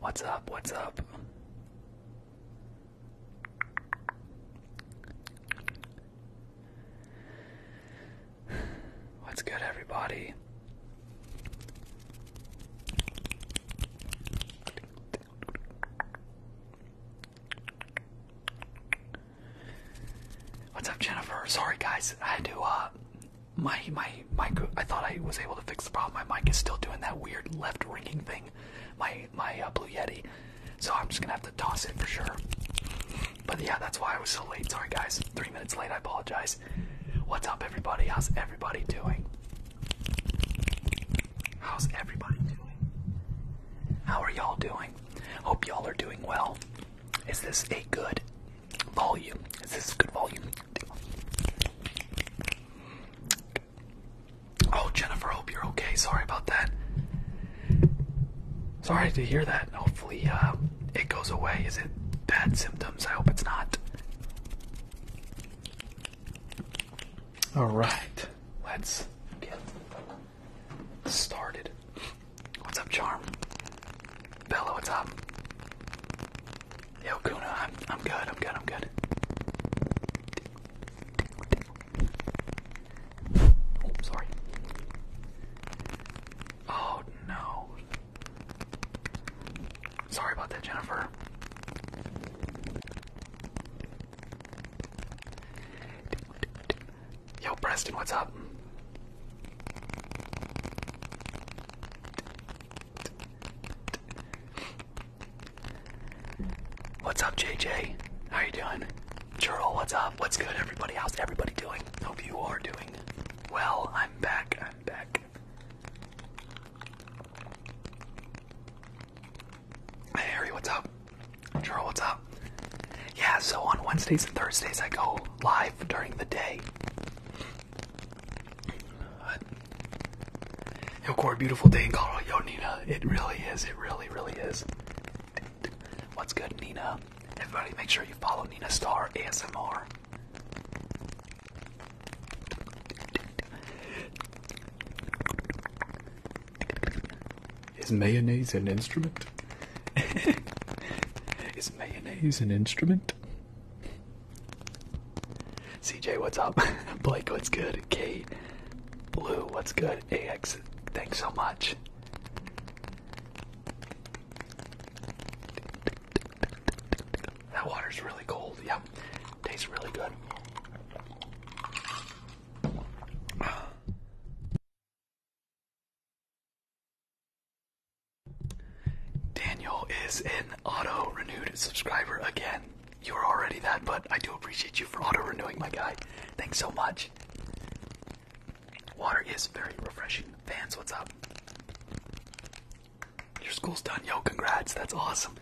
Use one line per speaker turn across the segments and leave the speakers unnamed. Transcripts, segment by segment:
What's up? What's up? What's good, everybody? What's up, Jennifer? Sorry, guys. I had to. Uh, my my my. I thought I was able to fix the problem. My mic is still doing that weird left ringing thing. My my uh, Blue Yeti. So I'm just gonna have to toss it for sure. But yeah, that's why I was so late. Sorry, guys. Three minutes late. I apologize. What's up, everybody? How's everybody doing? How's everybody doing? How are y'all doing? Hope y'all are doing well. Is this a good volume? Is this a good volume? Oh, Jennifer, I hope you're okay. Sorry about that. Sorry to hear that. Hopefully, uh, it goes away. Is it bad symptoms? I hope it's not. All right, let's get started. What's up, Charm? Bella, what's up? Yo, Kuna, I'm, I'm good, I'm good, I'm good. sorry. Oh, no. Sorry about that, Jennifer. Yo, Preston, what's up? What's up, JJ? How you doing? Churl, what's up? What's good, everybody? How's everybody doing? Hope you are doing well. I'm back. I'm back. Hey, Harry, what's up? Churl, what's up? yeah, so on Wednesdays and Thursdays I go live during the day. Yo, a beautiful day in Colorado. Yo, Nina, it really is. It really, really is. What's good, Nina? Everybody, make sure you follow Nina Star ASMR. Is mayonnaise an instrument? Is mayonnaise an instrument? CJ, what's up? Blake, what's good? Kate, Blue, what's good? AX, thanks so much. That water's really cold. Yep, tastes really good. Daniel is an auto renewed subscriber again. You are already that, but I do appreciate you for auto renewing, my guy. Thanks so much. Water is very refreshing. Fans, what's up? Your school's done. Yo, congrats. That's awesome.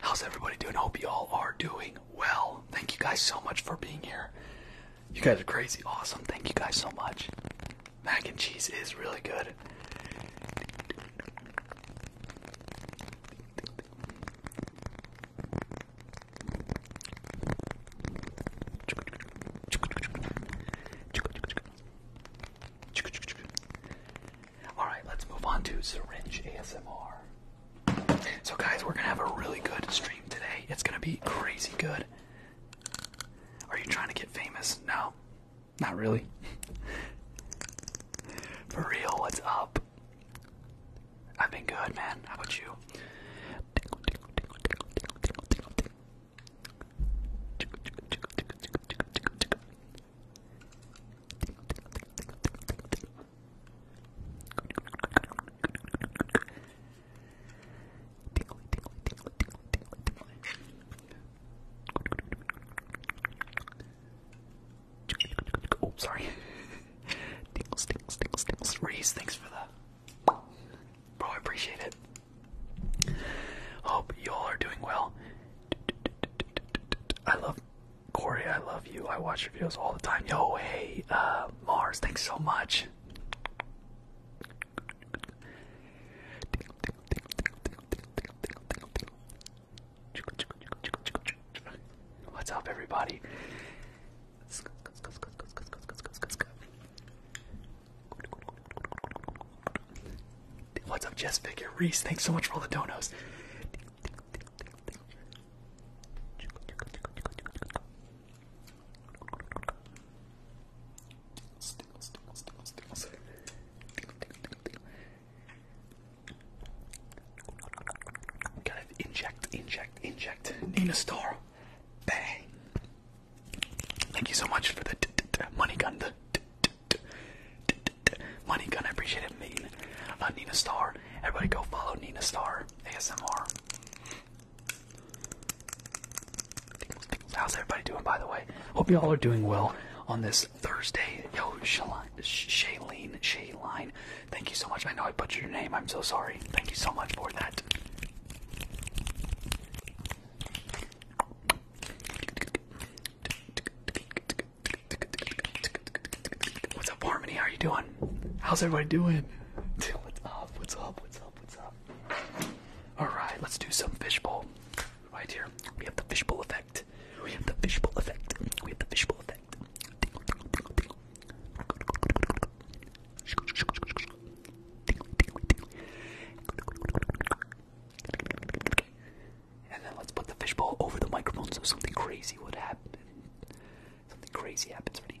How's everybody doing? Hope you all are doing well. Thank you guys so much for being here. You guys are crazy awesome. Thank you guys so much. Mac and cheese is really good. All right, let's move on to syringe ASMR. So guys, we're gonna have a really good stream today. It's gonna be crazy good. Are you trying to get famous? No. Not really. For real, what's up? I've been good, man. How about you? Tickly, tickly, tickly, tickly, tickly, tickly. Oh, sorry. Tickles, tickles, tickles, tickles. Reese, thanks for that. Bro, I appreciate it. Hope y'all are doing well. I love Corey, I love you. I watch your videos all the time. Yo, hey, uh, Mars, thanks so much. What's up, everybody? What's up, Jess Figure Reese? Thanks so much for all the donos. Gotta inject, inject, inject. Nina Star. Bang. Thank you so much for the money gun. The money gun. I appreciate it, Megan. Uh, Nina Star. Everybody go follow Nina Star ASMR. How's everybody doing, by the way? Hope you all are doing well on this Thursday. Yo, Shaline, Shailene, Shailene, thank you so much. I know I butchered your name. I'm so sorry. Thank you so much for that. What's up, Harmony? How you doing? How's everybody doing? What's up? What's up? What's up? All right, let's do some fishbowl. Right here, we have the fishbowl effect. We have the fishbowl effect. We have the fishbowl effect. And then let's put the fishbowl over the microphone so something crazy would happen. Something crazy happens. Ready?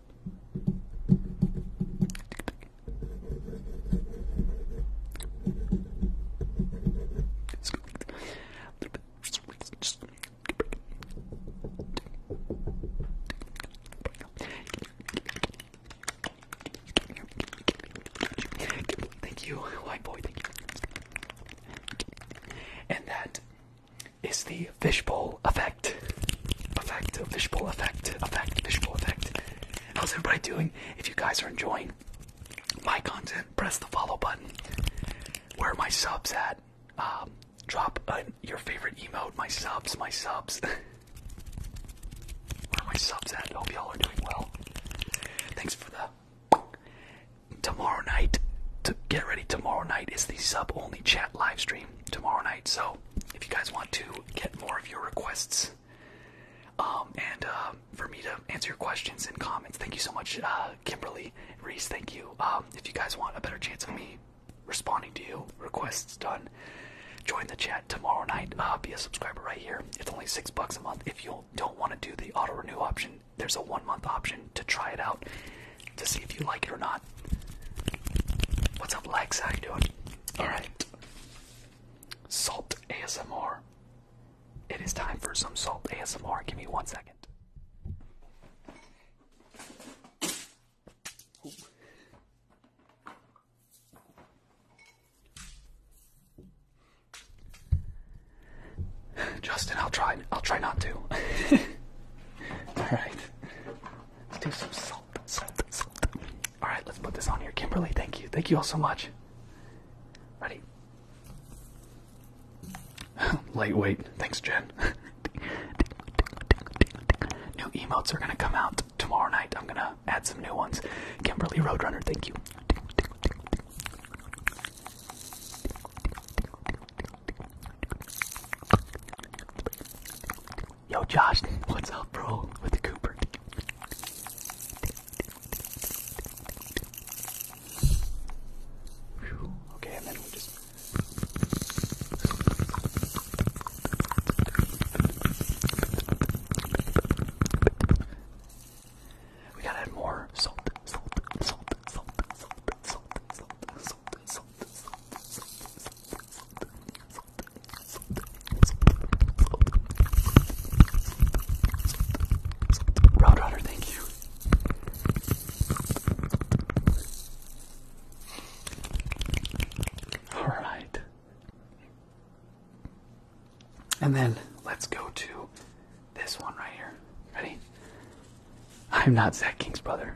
Thank you, white boy. Thank you. And that is the fishbowl effect. Effect, fishbowl effect, effect, fishbowl effect. How's everybody doing? If you guys are enjoying my content, press the follow button. Where my subs at? Um, drop your favorite emote. My subs, my subs. Where my subs at? Hope y'all are doing well. Thanks for the. Tomorrow night, to get ready. Tomorrow night is the sub only chat livestream. Tomorrow night, so if you guys want to get more of your requests um, and uh, for me to answer your questions and comments, thank you so much, uh, Kimberly Reese. Thank you. Um, if you guys want a better chance of me responding to you, requests done, join the chat tomorrow night. Uh, be a subscriber right here. It's only six bucks a month. If you don't want to do the auto renew option, there's a one month option to try it out to see if you like it or not. What's up, Lex? How you doing? Alright. Salt ASMR. It is time for some salt ASMR. Give me one second. Justin, I'll try. I'll try not to. All right, let's do some salt. All right, let's put this on here. Kimberly, thank you. Thank you all so much. Ready? Lightweight. Thanks, Jen. new emotes are gonna come out tomorrow night. I'm gonna add some new ones. Kimberly Roadrunner, thank you. Yo, Josh, what's up, bro? With the Cooper. Okay, and then we just. We gotta add more salt, salt, salt, salt, salt, salt, salt, Roadrunner, thank you. All right. And then let's go to this one right here. Ready? I'm not Zach King's brother.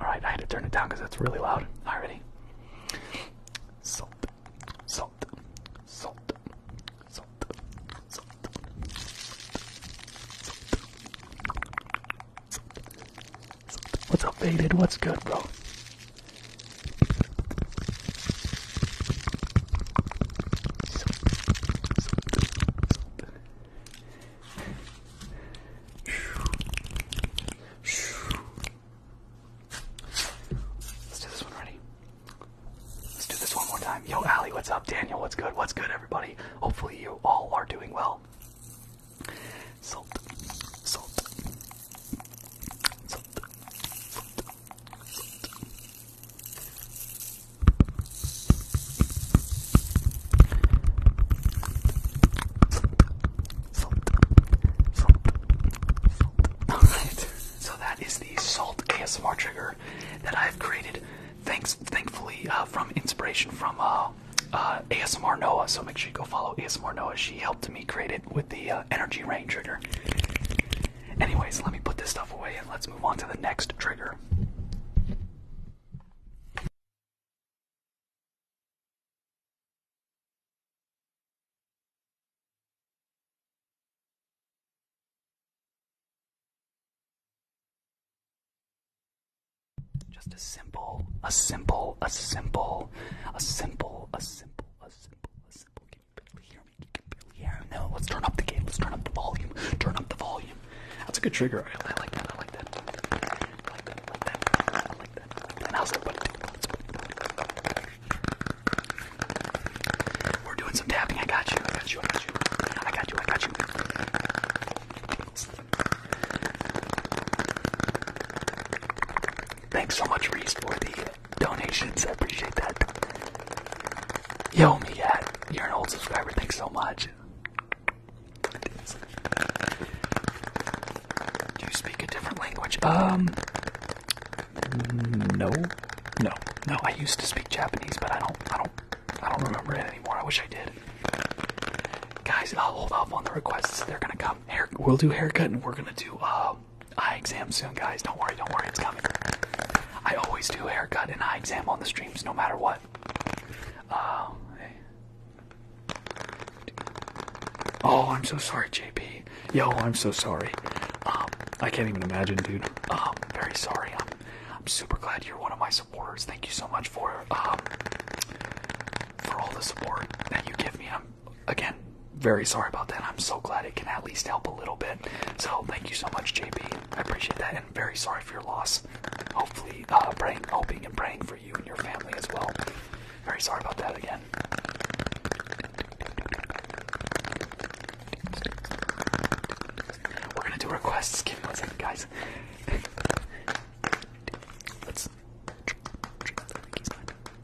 All right, I had to turn it down because it's really loud. Already. Salt, salt, salt, salt, salt, salt, salt. What's up, faded? What's good, bro? Let's do this one ready. Let's do this one more time. Yo, Ali, what's up? Daniel, what's good? What's good, everybody? Hopefully, you all are doing well. salt, salt, salt. Salt, Alright, so that is the salt ASMR trigger that I've created, thanks, thankfully, uh, from inspiration from uh, uh, ASMR Noah. So make sure you go follow ASMR Noah. She helped me create it with the energy rain trigger. Anyways, let me put this stuff away and let's move on to the next trigger.
Just a simple, a simple, a simple,
a simple, a simple, a simple, a simple. Can barely hear me? You can barely hear No, let's turn up the game. Let's turn up the volume. Turn up the volume. That's a good trigger. I like that. I like that. We're doing some tapping. I got you. I got you. I got you. I got you. I got you. Thanks so much, Reese, for the donations. I appreciate that. Yo, me, yeah, you're an old subscriber. Thanks so much. Do you speak a different language? Um, no, no, no. I used to speak Japanese, but I don't, I don't, I don't remember it anymore. I wish I did. Guys, I'll hold off on the requests. They're gonna come. Hair, we'll do haircut, and we're gonna do uh, eye exam soon, guys. Don't worry, don't worry, it's coming. I always do haircut and eye exam on the streams, no matter what. Uh, Oh, I'm so sorry, JP. Yo, I'm so sorry. Um, I can't even imagine, dude. Um, very sorry. I'm, super glad you're one of my supporters. Thank you so much for um, for all the support that you give me. again very sorry about that. I'm so glad it can at least help a little bit. So thank you so much, JP. I appreciate that, and very sorry for your loss. Hopefully, uh, praying, hoping, and praying for you and your family as well. Very sorry about that again. We're gonna do requests. Give me one second, guys.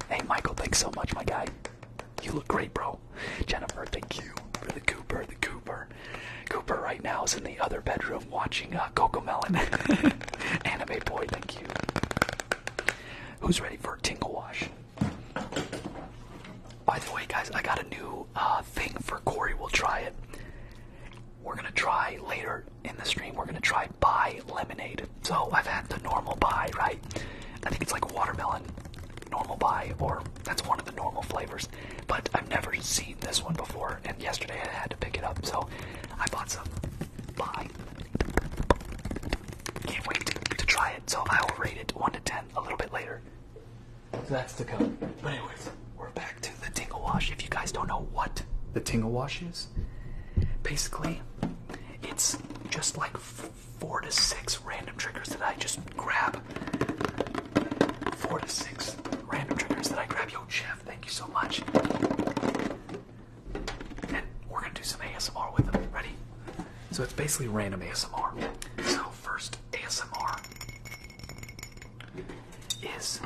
Hey, Michael, thanks so much, my guy. You look great, bro. Jennifer, thank you for the Cooper. The Cooper. Cooper right now is in the other bedroom of watching uh, Coco Melon, Anime boy, thank you. Who's ready for a tingle wash? By the way, guys, I got a new uh, thing for Corey. We'll try it. We're gonna try later in the stream. We're gonna try buy lemonade. So I've had the normal buy, right? I think it's like watermelon, normal buy, or that's one of the normal flavors. But I've never seen this one before, and yesterday I had to pick it up, so I bought some. Bye. Can't wait to, try it, so I will rate it 1 to 10 a little bit later. So that's the code. But anyways, we're back to the Tingle Wash. If you guys don't know what the Tingle Wash is, basically, it's just like four to six random triggers that I just grab. Four to six random triggers that I grab. Yo, Jeff, thank you so much we're gonna do some ASMR with them. Ready? So it's basically random ASMR. So first ASMR is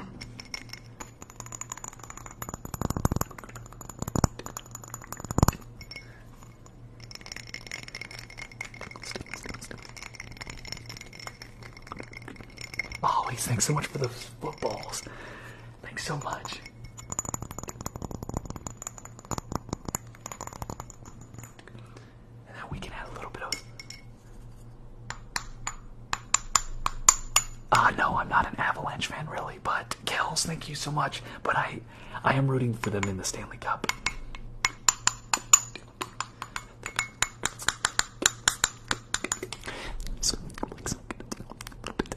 Oh, Always, thanks so much for those footballs. Thanks so much. now we can add a little bit of. Ah, no, I'm not an Avalanche fan, really. But Kells, thank you so much. But I, I am rooting for them in the Stanley Cup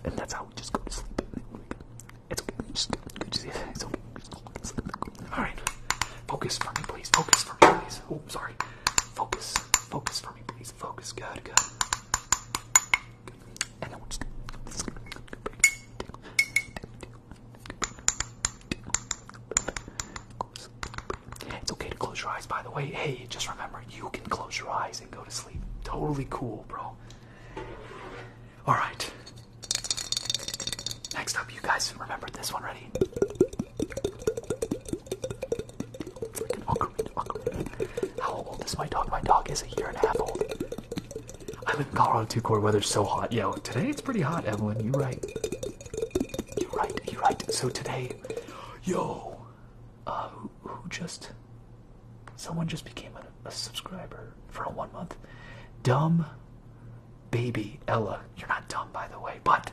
and that's how we just go to sleep. It's okay. Just, just, it's okay. All right. Focus for me, please. Focus for me, please. Oh, sorry. Focus. Focus for me, please. Focus. Good. Good. It's okay to close your eyes, by the way. Hey, just remember, you can close your eyes and go to sleep. Totally cool, bro. All right. Next up, you guys remember this one, ready? How old is my dog? My dog is a year and a half old. I live in Colorado too, cold weather's so hot. Yo, today it's pretty hot, Evelyn. You right. You right. You right. So today, yo, uh, who just Someone just became a, subscriber for a one month. Dumb baby Ella. You're not dumb, by the way, but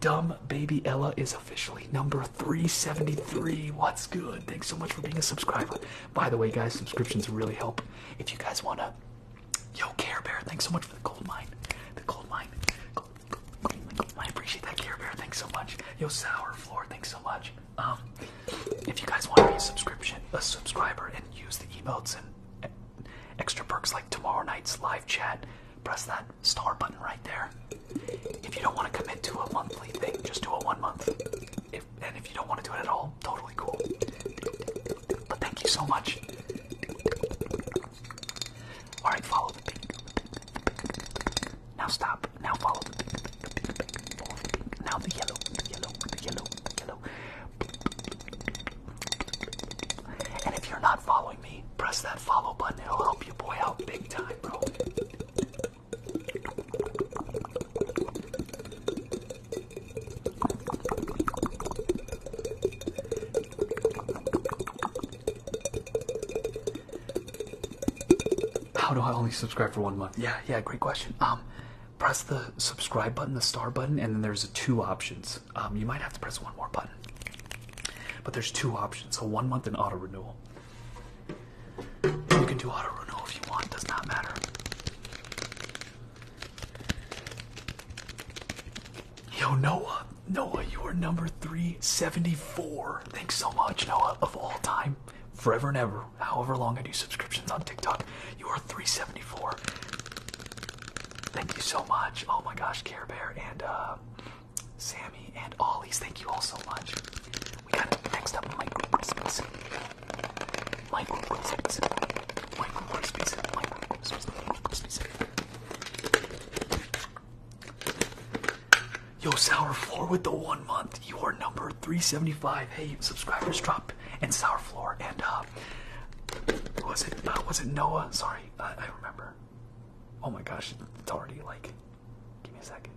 dumb baby Ella is officially number 373. What's good? Thanks so much for being a subscriber. By the way, guys, subscriptions really help. If you guys wanna, yo, Care Bear, thanks so much for the gold mine. The gold mine. I appreciate that, Care Bear. Thanks so much. Yo, Sour Floor, thanks so much. Um, if you guys want to be a subscription, a subscriber, and use the emotes and extra perks like tomorrow night's live chat, press that star button right there. If you don't want to commit to a monthly thing, just do a one month. and if you don't want to do it at all, totally cool. But thank you so much. Alright, follow the pink, now stop. Now follow Now the yellow. And if you're not following me, press that follow button. It'll help you boy out big time, bro. How do I only subscribe for one month? Yeah, yeah, great question. Um, press the subscribe button, the star button, and then there's two options. Um, you might have to press one more button, but there's two options. So one month and auto renewal. You can do auto renewal if you want. does not matter. Yo, Noah, Noah, you are number 374. Thanks so much, Noah, of all time forever and ever, however long I do subscriptions on TikTok, you are 374. Thank you so much. Oh my gosh, Care Bear and Sammy and Ollie's, thank you all so much. We got next up Michael Crispins. Michael Crispins. Michael Crispins. Michael Crispins. Yo, Sour Floor with the one month. You are number 375. Hey, subscribers drop and Sour Floor and uh, was it uh, was it Noah? Sorry, I, I remember. Oh my gosh, it's already like. Give me a second.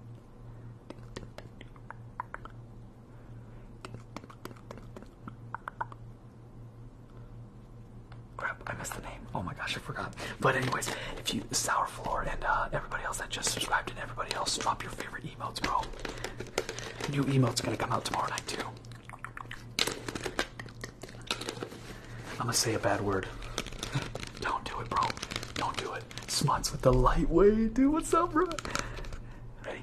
Crap, I missed the name. Oh my gosh, I forgot. But anyways, if you sour floor, and uh, everybody else that just subscribed, and everybody else, drop your favorite emotes, bro. New emotes gonna come out tomorrow night too. I'm gonna say a bad word. Don't do it, bro. Don't do it. Smuts with the lightweight,
dude. What's up, bro? Ready?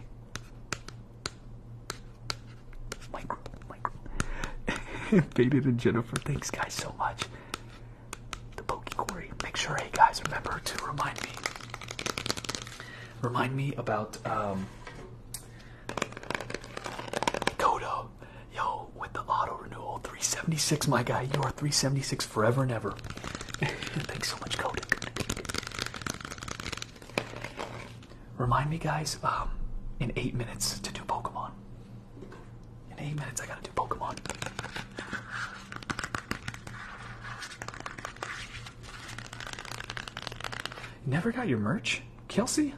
Micro, micro. Faded and Jennifer. Thanks, guys, so much the Poke Make sure, hey guys, remember to remind me. Remind me about um, Kodo. Yo, with the auto renewal, 376, my guy. You are 376 forever and ever. Thanks so much, Kodo. Remind me, guys, um, in eight minutes to do Pokemon. In eight minutes, I gotta. Pokemon. Never got your merch, Kelsey.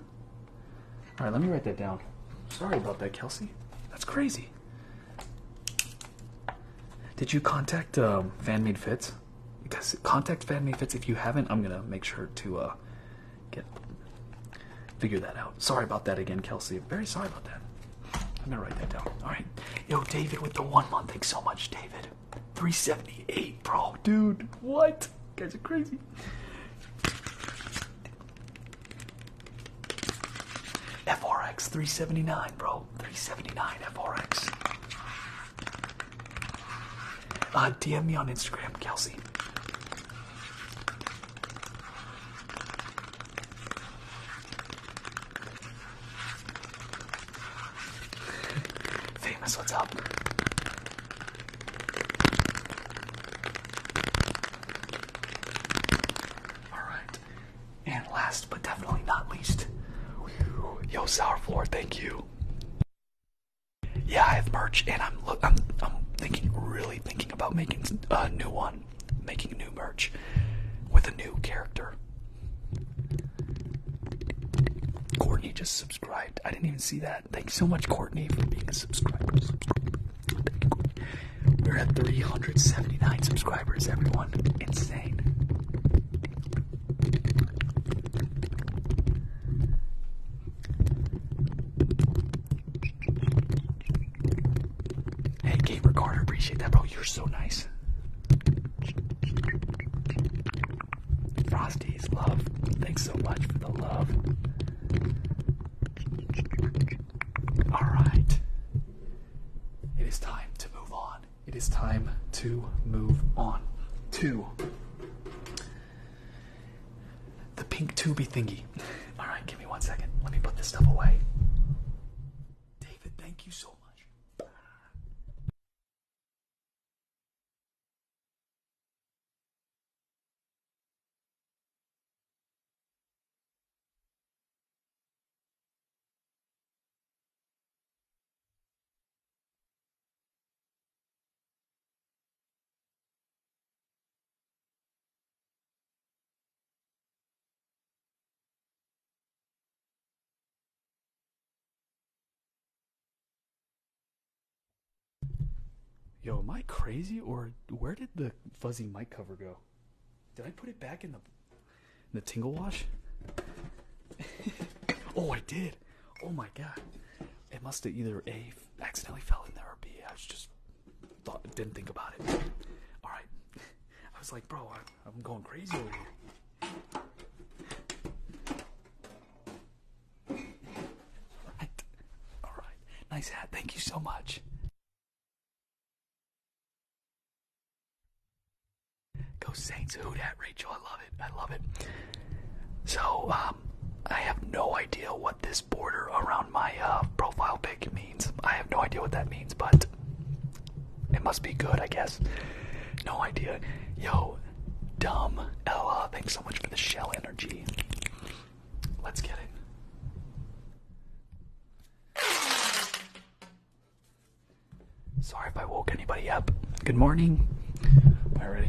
All right, let me write that down. Sorry about that, Kelsey. That's crazy. Did you contact um, FanMade Fits? Because contact FanMade Fits if you haven't. I'm gonna make sure to uh, get figure that out. Sorry about that again, Kelsey. Very sorry about that. I'm gonna write that down. All right, yo, David, with the one month. Thanks so much, David. 378, bro, dude. What? guys are crazy. FRX 379, bro. 379 FRX. Uh, DM me on Instagram, Kelsey. Famous, what's up? Alright. And last but definitely not least, yo Sour Floor, thank you. Yeah, I have merch, and I'm thinking, really thinking about making a uh, new one on making new merch with a new character. Courtney just subscribed. I didn't even see that. Thanks so much, Courtney, for being a subscriber. We're at 379 subscribers, everyone. Insane. Hey, Gabe Ricardo, appreciate that, bro. You're so nice. Frosty's love. Thanks so much for the love. Alright. It is time to move on. It is time to move on to the pink tubby thingy. Alright, give me one second. Let me put this stuff away. David, thank you so much. Yo, am I crazy or where did the fuzzy mic cover go? Did I put it back in the in the tingle wash? oh, I did. Oh my god. It must have either A accidentally fell in there or B I just thought didn't think about it. All right. I was like, bro, I, am going crazy over here. All right. Nice hat. Thank you so much. Go Saints. Who dat, Rachel? I love it. I love it. So, um, I have no idea what this border around my uh, profile pic means. I have no idea what that means, but it must be good, I guess. No idea. Yo, dumb Ella, thanks so much for the shell energy. Let's get it. Sorry if I woke anybody up. Good morning. Already.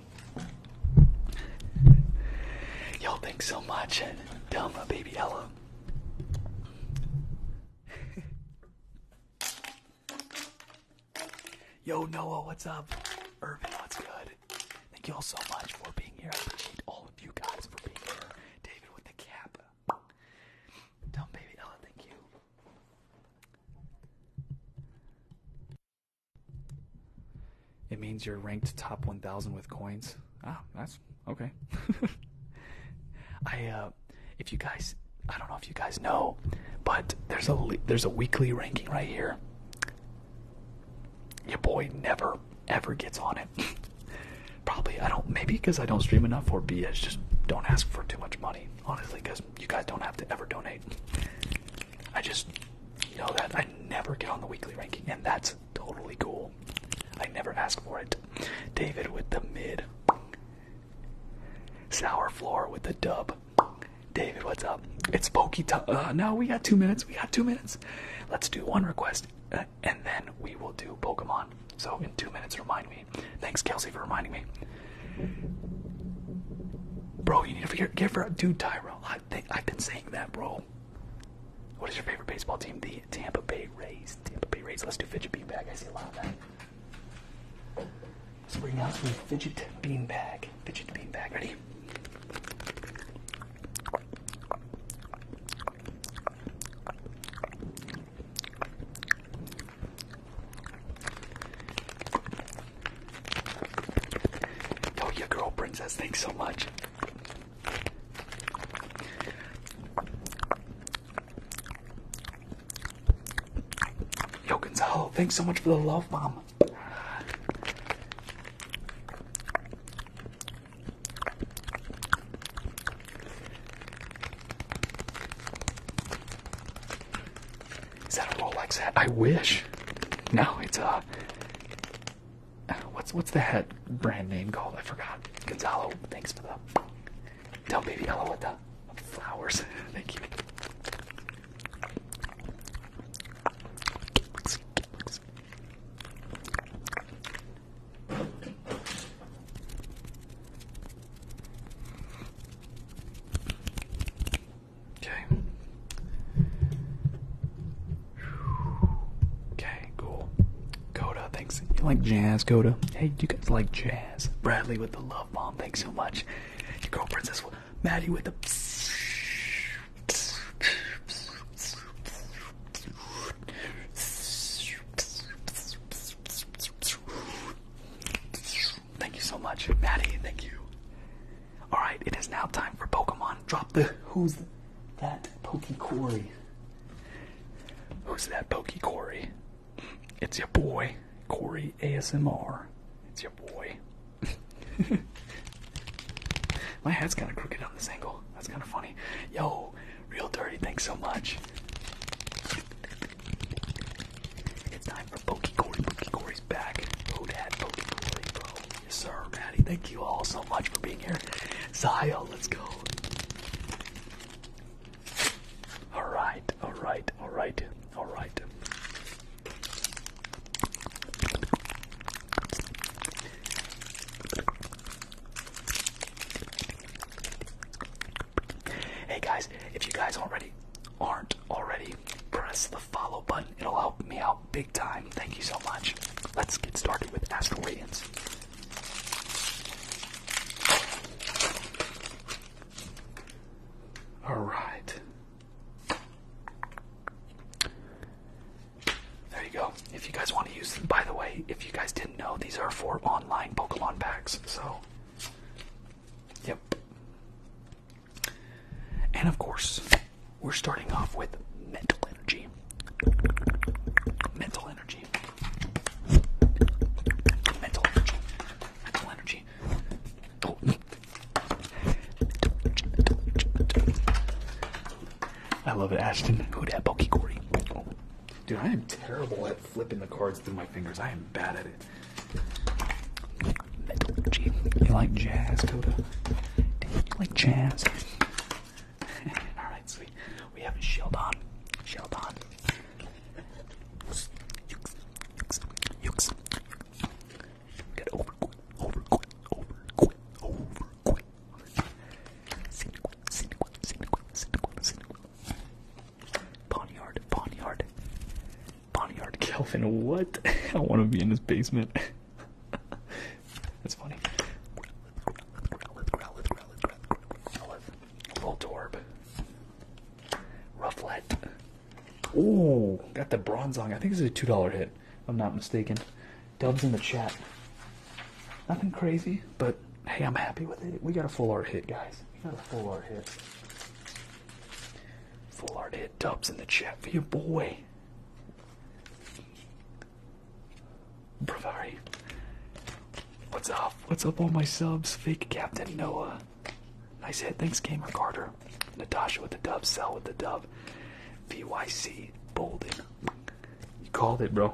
Y'all thanks so much and tell my baby Ella. Yo Noah, what's up? Irvin, what's good? Thank you all so much for being here. I appreciate all of you guys for being here. David with the cap. Dumb baby Ella, thank you. It means you're ranked top 1,000 with coins. Ah, that's okay. I, uh, if you guys, I don't know if you guys know, but there's a there's a weekly ranking right here. Your boy never ever gets on it. Probably I don't maybe because I don't stream enough or B I just don't ask for too much money honestly because you guys don't have to ever donate. I just know that I never get on the weekly ranking, and that's totally cool. I never ask for it. David with the mid. Sour floor with the dub. David, what's up? It's pokey time. Uh, no, we got two minutes. We got two minutes. Let's do one request, uh, and then we will do Pokemon. So in two minutes, remind me. Thanks, Kelsey, for reminding me. Bro, you need to get, get for dude Tyrell. I I've been saying that, bro. What is your favorite baseball team? The Tampa Bay Rays. Tampa Bay Rays. Let's do fidget bean bag. I see a lot of that. So bring out some fidget bean bag. Fidget bean bag. Ready? Yo, oh, your girl, Princess, thanks so much. Yo, Gonzalo, thanks so much for the love, bomb. Is that a Rolex hat? I wish. No, it's a. Uh, what's what's the hat brand name called? I forgot. Gonzalo, thanks for the. Tell baby Ella with the flowers. Thank you. Okay. Okay, cool. Coda, thanks. You like jazz, Coda? Hey, you guys like jazz? Bradley with the love bomb, thanks so much. Your girl princess, Maddie with the. Thank you so much, Maddie. Thank you. All right, it is now time for Pokemon. Drop the. Who's that Corey? Who's that Corey? It's your boy, Corey ASMR. It's your boy. My hat's kind of crooked on this angle. That's kind of funny. Yo, real dirty. Thanks so much. It's time for Pokecory, Pokecory, Corey's back. Oh, Dad, Pokey bro. Yes, sir, Maddie. Thank you all so much for being here. Zio, let's go. All right, all right, all right, all right. Hey guys, if you guys already aren't already, press follow button. It'll help me out big time. Thank you so much. Let's get started with Astral All right. There you go. If you guys want to use them, by the way, if you guys didn't know, these are for online Pokemon packs. So, yep. And of course, we're starting off with mental energy. Mental energy. Mental energy. Mental energy. I love it, Ashton. Who that Pokegori? Oh. Dude, I am terrible at flipping the cards through my fingers. I am bad at it. You like jazz, Coda? You like jazz? Alright, sweet. We have a shield on. Shield on. Yux, yux, yux. Get over quick, over quick, over quick, over quick. Ponyard, ponyard. Bonnyard Kelvin, what? I want to be in this basement. That's funny. Growlithe, Growlithe, Growlithe, Voltorb. Rufflet. Ooh, got the Bronzong. I think it's a $2 hit, I'm not mistaken. Dubs in the chat. Nothing crazy, but hey, I'm happy with it. We got a full art hit, guys. We got a full art hit. Full art hit. Dubs in the chat for your boy. Bravary, What's up? What's up, all my subs? Fake Captain Noah. Nice hit. Thanks, Gamer Carter. Natasha with the dub. Sell with the dub. VYC. bolding, You called it, bro.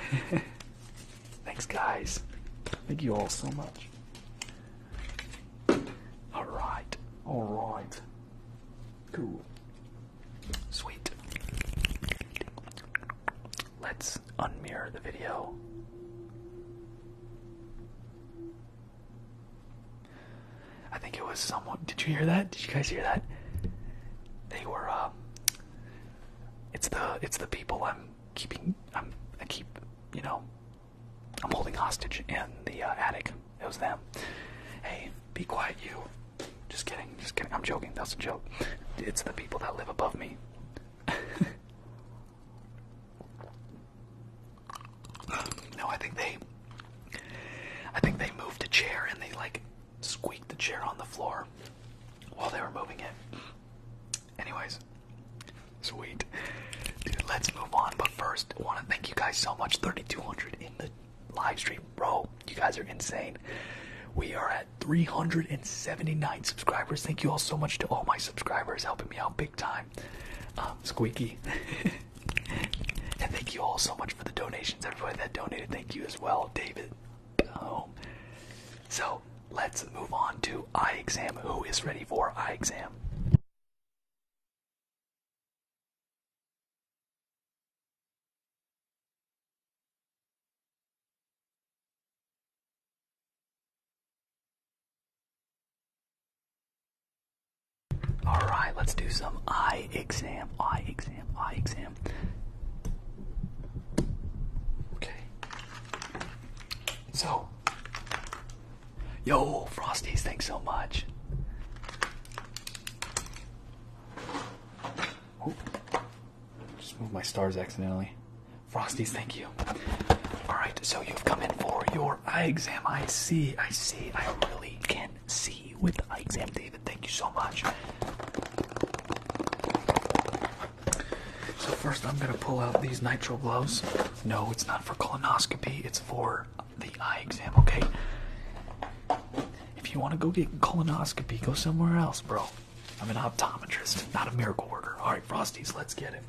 Thanks, guys. Thank you all so much. All right, all right, cool, sweet. Let's unmirror the video. I think it was someone. Did you hear that? Did you guys hear that? They were. Uh, it's the it's the people I'm keeping. I'm I keep you know I'm holding hostage in the uh, attic. It was them. Hey, be quiet, you. Just kidding, just kidding. I'm joking. That's a joke. It's the people that live above me. no, I think they. I think they moved a chair and they like squeaked the chair on the floor while they were moving it. Anyways, Sweet. Dude, let's move on. But first, I want to thank you guys so much. 3,200 in the live stream. Bro, you guys are insane. We are at 379 subscribers. Thank you all so much to all my subscribers helping me out big time. Um, squeaky. and thank you all so much for the donations. Everybody that donated, thank you as well. David. So let's move on to eye exam. Who is ready for eye exam? All right, let's do some eye exam, eye exam, eye exam. Okay. So, Yo, Frosties, thanks so much. Ooh, just moved my stars accidentally. Frosties, thank you. Alright, so you've come in for your eye exam. I see, I see. I really can see with eye exam, David. Thank you so much. So first I'm gonna pull out these nitro gloves. No, it's not for colonoscopy, it's for the eye exam, okay? If you want to go get colonoscopy, go somewhere else, bro. I'm an optometrist, not a miracle worker. All right, Frosties, let's get it.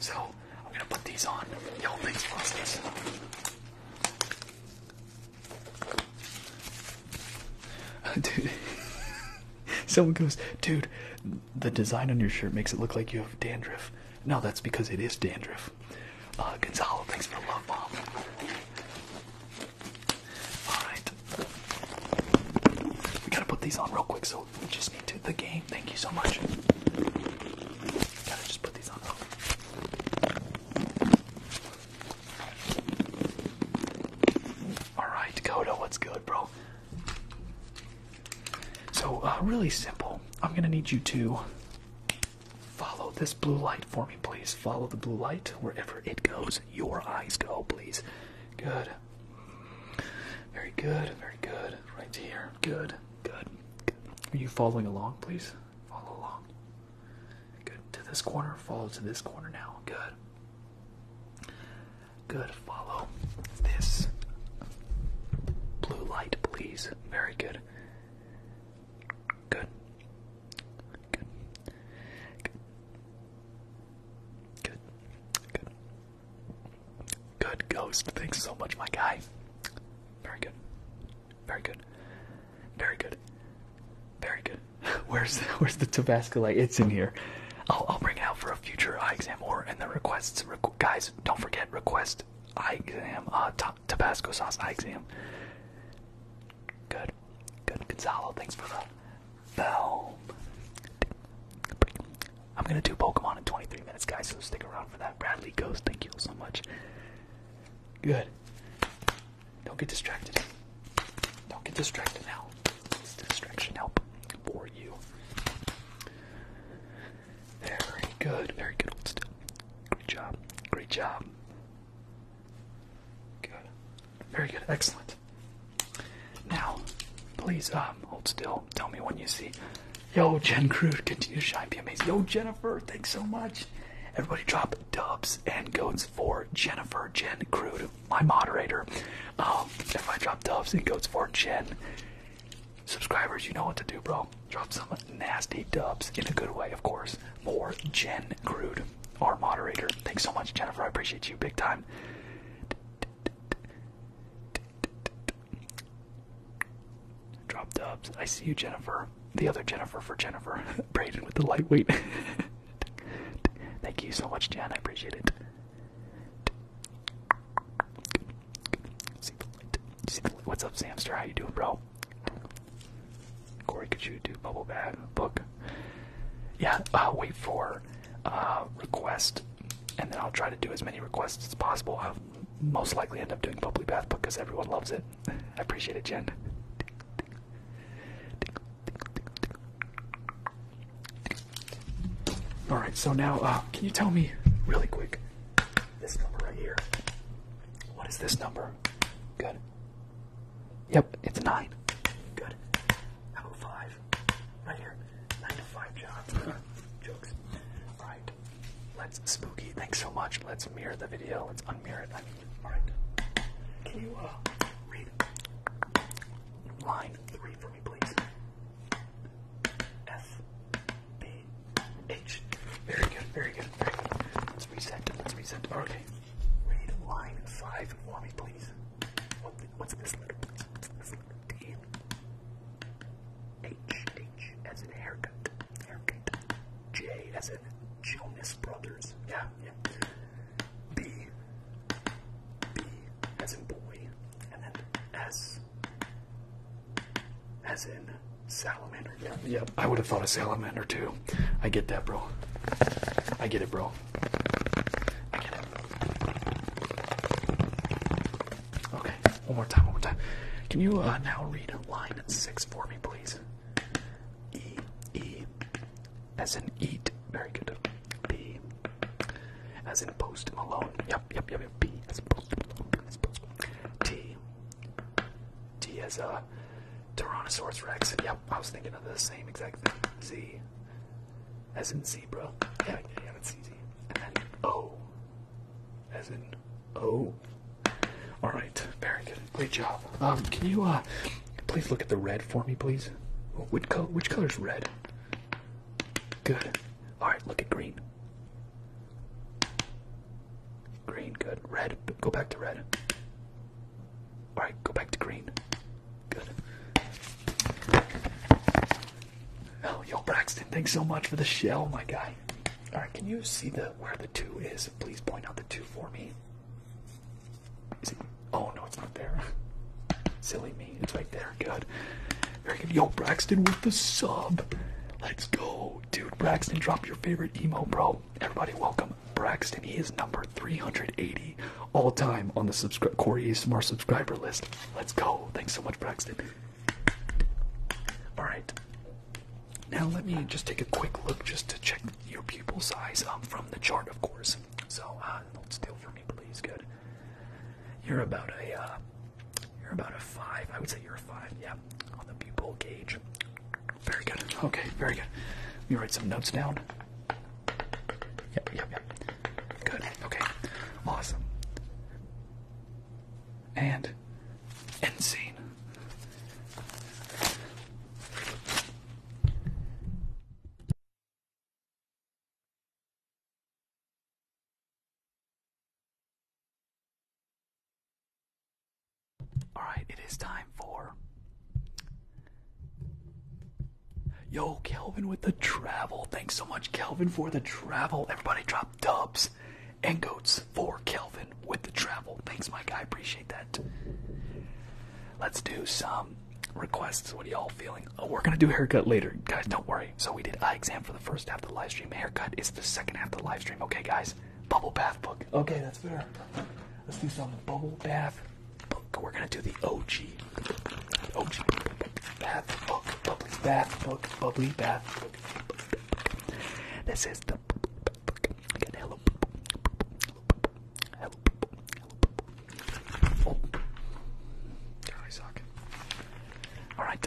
So, I'm going to put these on. Yo, things, Frosties. Dude, someone goes, dude, the design on your shirt makes it look like you have dandruff. No, that's because it is dandruff. Uh, Gonzalo, thanks for the love, mom. Alright. We gotta put these on real quick, so we just need to. The game, thank you so much. Gotta just put these on Alright, Coda, what's good, bro? So, uh, really simple. I'm going to need you to follow this blue light for me, please. Follow the blue light wherever it goes. Your eyes go, please. Good. Very good. Very good. Right here. Good. Good. good. Are you following along, please? Follow along. Good. To this corner. Follow to this corner now. Good. Good. Follow this Blue light, please. Very good. Good. Good. Good. Good. Good ghost. Thanks so much, my guy. Very good. Very good. Very good. Very good. Where's where's the Tabasco light? It's in here. I'll I'll bring it out for a future eye exam or and the requests. guys, don't forget request eye exam. Uh, Tabasco sauce eye exam. Good. Good. Gonzalo, thanks for the film. I'm gonna do Pokemon in 23 minutes, guys, so stick around for that. Bradley Ghost, thank you so much. Good. Don't get distracted. Don't get distracted now. It's distraction help for you. Very good, very good. Hold still. Great job. Great job. Good. Very good. Excellent. Now, please um hold still. Tell me when you see. Yo, Jen Crude, continue to shine, be amazing. Yo, Jennifer, thanks so much. Everybody drop dubs and goats for Jennifer Jen Crude, my moderator. Um, I drop dubs and goats for Jen Subscribers, you know what to do, bro. Drop some nasty dubs in a good way, of course. More Jen Crude, our moderator. Thanks so much, Jennifer. I appreciate you big time. Drop dubs. I see you, Jennifer. The other Jennifer for Jennifer. Braden with the lightweight. Thank you so much, Jen. I appreciate it. What's up, Samster? How you doing, bro? Corey, could you do bubble bag book? Yeah, uh, wait for uh, request, and then I'll try to do as many requests as possible. I'll most likely end up doing Bubble bath book because everyone loves it. I appreciate it, Jen. All right, so now uh, can you tell me really quick? This number right here. What is this number? Good. Yep, it's nine. Good. How about five? Right here. Nine to five, John. Jokes. Right. right. Let's spooky. Thanks so much. Let's mirror the video. Let's unmirror it. I mean, all right. Can you uh, read line three for me, please? F B H. Very good, very good, very good. Let's reset. Let's reset. Okay. Read line five for me, please. what's this letter, please? as in haircut. Haircut. J as in Jonas Brothers. yeah. B. B as in boy. And then S as in salamander. Yeah, yep. I would have thought a salamander too. I get that, bro. I get it, bro. I get it. Okay, one more time, one more time. Can you uh, now read line six for me, please? E, E, as in eat. Very good. B, as in post Malone. Yep, yep, yep, yep. B, as post Malone. T. T as a uh, Tyrannosaurus Rex. Yep, I was thinking of the same exact thing. Z. As in zebra. Yeah, yeah, yeah, easy. And then O. As in O. Alright, very good. Great job. Um, can you uh, please look at the red for me, please? Which color is red? Good. Alright, look at green. Green, good. Red, go back to red. Alright, go back to green. Good. Oh, yo, Braxton, thanks so much for the shell, my guy. Alright, can you see the where the two is? Please point out the two for me. oh no, it's not there. Silly me, it's right there. Good. Very good. Yo, Braxton with the sub. Let's go. Dude, Braxton, drop your favorite emo, bro. Everybody, welcome. Braxton, he is number 380 all time on the subscri Corey ASMR subscriber list. Let's go. Thanks so much, Braxton. All right. Now let me just take a quick look just to check your pupil size um, from the chart, of course. So, uh, not steal for me, please. Good. You're about a uh, you're about a five. I would say you're a five. Yeah, on the pupil gauge. Very good. Okay, very good. Let me write some notes down. Yep, yep, yep. Good. Okay. Awesome. And insane. Alright, it is time for. Yo, Kelvin with the travel. Thanks so much, Kelvin, for the travel. Everybody drop dubs and goats for Kelvin with the travel. Thanks, Mike. I appreciate that. Let's do some requests. What are y'all feeling? Oh, we're going to do haircut later. Guys, don't worry. So we did eye exam for the first half of the live stream stream. Haircut is the second half of the live stream. Okay, guys. Bubble bath book. Okay, that's fair. Let's do some bubble bath book. We're gonna do the OG. OG bath book. Bubbly bath book. Bubbly bath book. This is the Again, hello. Hello. Hello. Oh. God, Alright,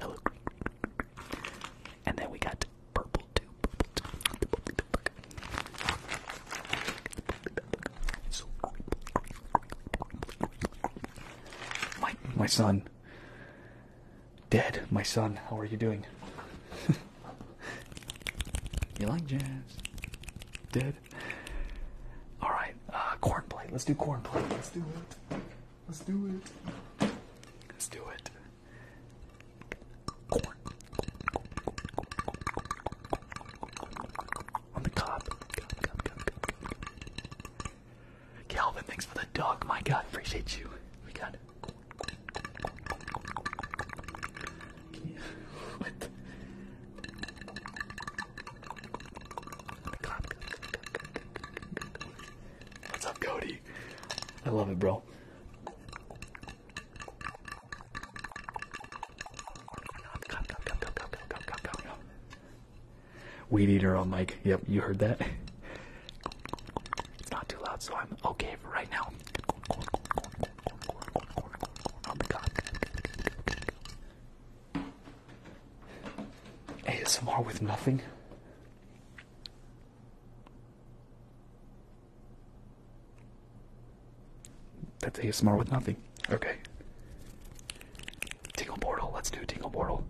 Hello, And then we got purple too. So, my son, dead. My son, how are you doing? you like jazz? Dead. All right, uh, corn plate. Let's do corn plate.
Let's do it. Let's do it. Let's do it.
On the top. Calvin, thanks for the dog. My God, appreciate you. We got it. You... What?
What's up, Cody?
I love it, bro. Weed eater on mic. Yep, you heard that. It's not too loud, so I'm okay for right now. Oh ASMR with nothing? That's a ASMR with nothing. Okay. Tingle Portal. Let's do Tingle Portal.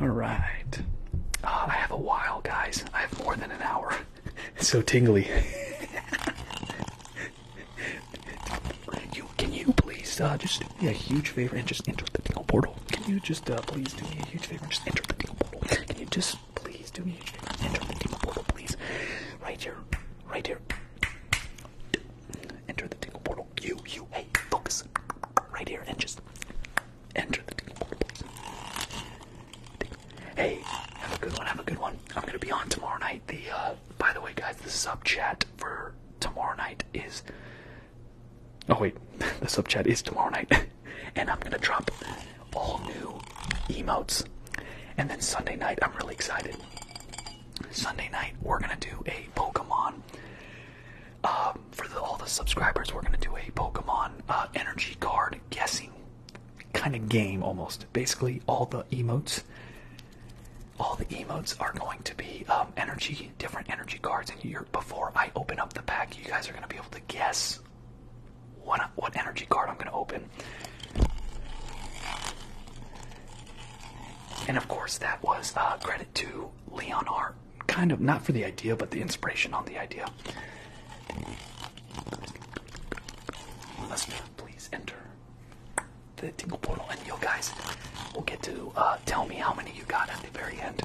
All right. Ah, I have a while, guys. I have more than an hour. It's so tingly. can you please uh, just do me a huge favor and just enter the tingle portal? Can you just uh, please do me a huge favor and just enter the tingle portal? Can you just please do me a huge favor and enter the tingle portal, please? Right here, right here. Enter the tingle portal. You, you, hey, focus. Right here and just enter the tingle portal, Hey, have a good one. Have a good one. I'm gonna be on tomorrow night. The uh, by the way, guys, the sub chat for tomorrow night is. Oh wait, the sub chat is tomorrow night, and I'm gonna drop all new emotes. And then Sunday night, I'm really excited. Sunday night, we're gonna do a Pokemon. Um, for all the subscribers, we're gonna do a Pokemon uh, energy card guessing kind of game almost. Basically, all the emotes, all the emotes are going to be um, energy, different energy cards. And you're, before I open up the pack, you guys are going to be able to guess what what energy card I'm going to open. And of course, that was uh, credit to Leon Kind of not for the idea, but the inspiration on the idea. Let's do please enter the Tingle Portal, and yo guys will get to uh, tell me how many you got at the very end.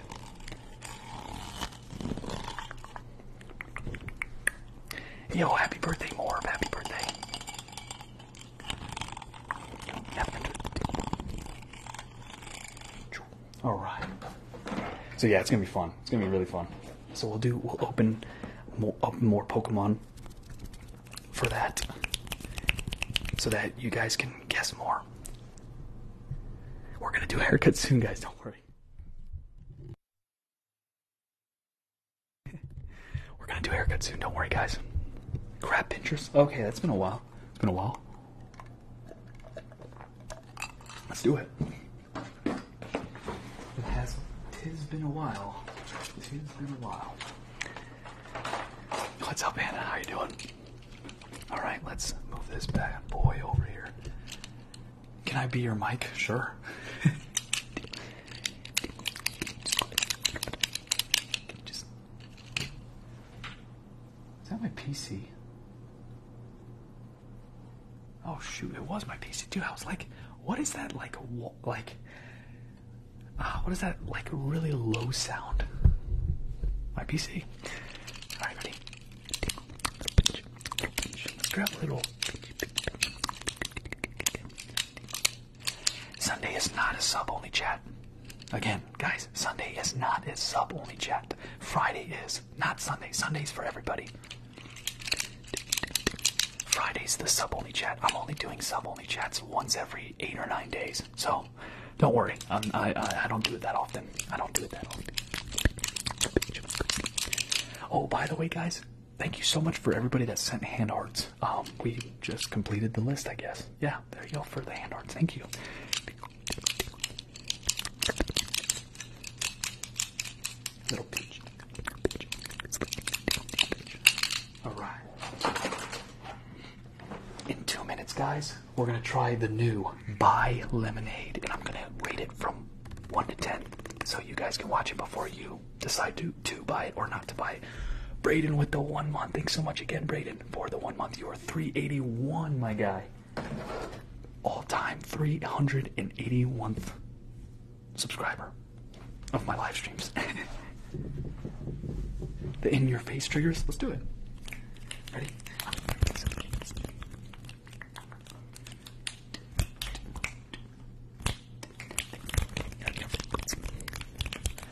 Yo, happy birthday, Morb. Happy birthday. All right. So yeah, it's gonna be fun. It's gonna be really fun. So we'll do we'll open up more Pokemon for that. So that you guys can guess more. We're gonna do a haircut soon, guys, don't worry. We're gonna do a haircut soon, don't worry guys. Crab pinchers. Okay, that's been a while. It's been a while. Let's do it. It has, tis been a while. Tis been a while. What's up, Anna? How you doing? All right, let's move this bad boy over here. Can I be your mic? Sure. Is that my PC? Oh shoot! It was my PC, too. I was like, "What is that? Like, like, uh, what is that? Like, really low sound?" My PC. All right, ready. Let's grab a little. Sunday is not a sub-only chat. Again, guys, Sunday is not a sub-only chat. Friday is not Sunday. Sunday's for everybody. Friday's the sub only chat. I'm only doing sub only chats once every eight or nine days, so don't worry. i I, I don't do it that often. I don't do it that often. Oh, by the way, guys, thank you so much for everybody that sent hand hearts. Um, we just completed the list, I guess. Yeah, there you go for the hand hearts. Thank you. Little peach. Alright. In two minutes, guys, we're going to try the new Buy Lemonade, and I'm going to rate it from 1 to 10 so you guys can watch it before you decide to, to buy it or not to buy it. Braden with the one month. Thanks so much again, Braden, for the one month. You are 381, my guy. All time 381th subscriber of my live streams. the in your face triggers. Let's do it. Ready?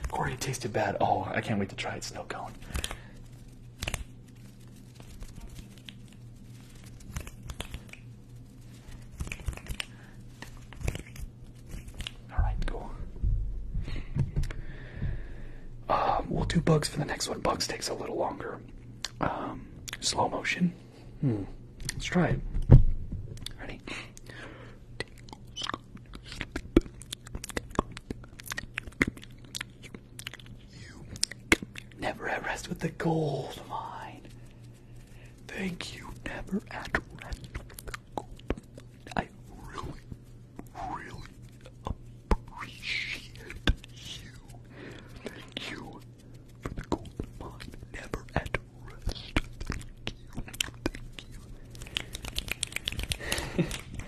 Corey, it tasted bad. Oh, I can't wait to try it. Snow cone. Alright, cool. Uh, we'll do bugs for the next one. Bugs takes a little longer. Um, slow motion. Hmm. Let's try it. Ready? never at rest with the gold mine. Thank you, never at rest I really, really appreciate you. you for the golden mine. Never at rest.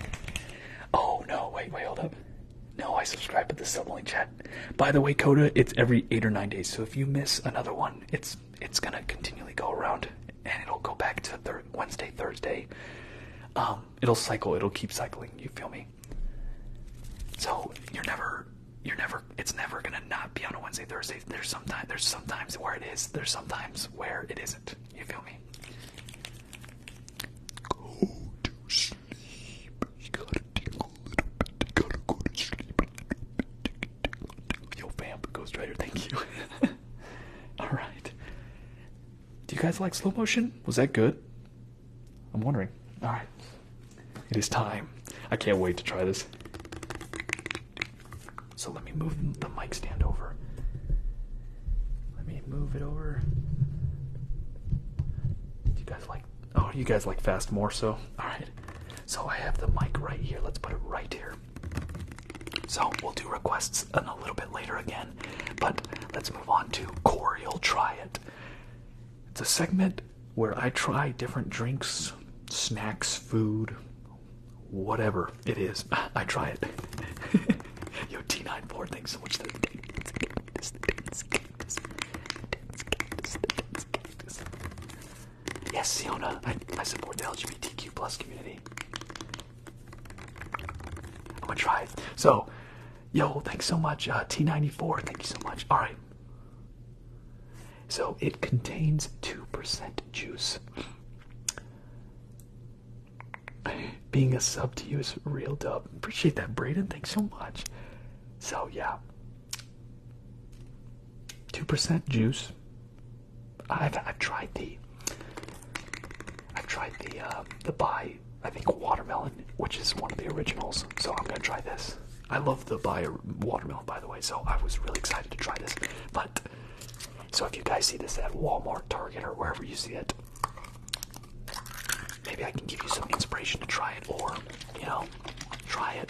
oh no, wait, wait, hold up. No, I subscribe to the sibling chat. By the way, Coda, it's every eight or nine days. So if you miss another one, it's it's gonna continually go around, and it'll go back to Wednesday, Thursday. Um, it'll cycle. It'll keep cycling. You feel me? So you're never, you're never. It's never gonna not be on a Wednesday, Thursday. There's sometimes. There's sometimes where it is. There's sometimes where it isn't. You feel me? Go to sleep. You gotta take little bit. gotta go to sleep a little bit. Yo, fam, Ghost Rider, thank you. Alright. Do you guys like slow motion? Was that good? I'm wondering. Alright. It is time. I can't wait to try this. So let me move the mic stand over. Let me move it over. Do you guys like Oh, you guys like fast more so. Alright. So I have the mic right here. Let's put it right here. So we'll do requests a little bit later again. But let's move on to Corey. You'll Try It. It's a segment where I try different drinks, snacks, food, whatever it is. I try it. Yo, T94, nine thanks so much. Yes, Siona, I, support the LGBTQ plus community. I'm gonna try it. So, yo, thanks so much, uh, T94. Thank you so much. All right. So it contains two percent juice. Being a sub to you is real dub. Appreciate that, Braden. Thanks so much. So yeah, 2% juice. I've i tried the i tried the uh, the buy I think watermelon, which is one of the originals. So I'm gonna try this. I love the buy watermelon, by the way. So I was really excited to try this. But so if you guys see this at Walmart, Target, or wherever you see it, maybe I can give you some inspiration to try it, or you know, try it.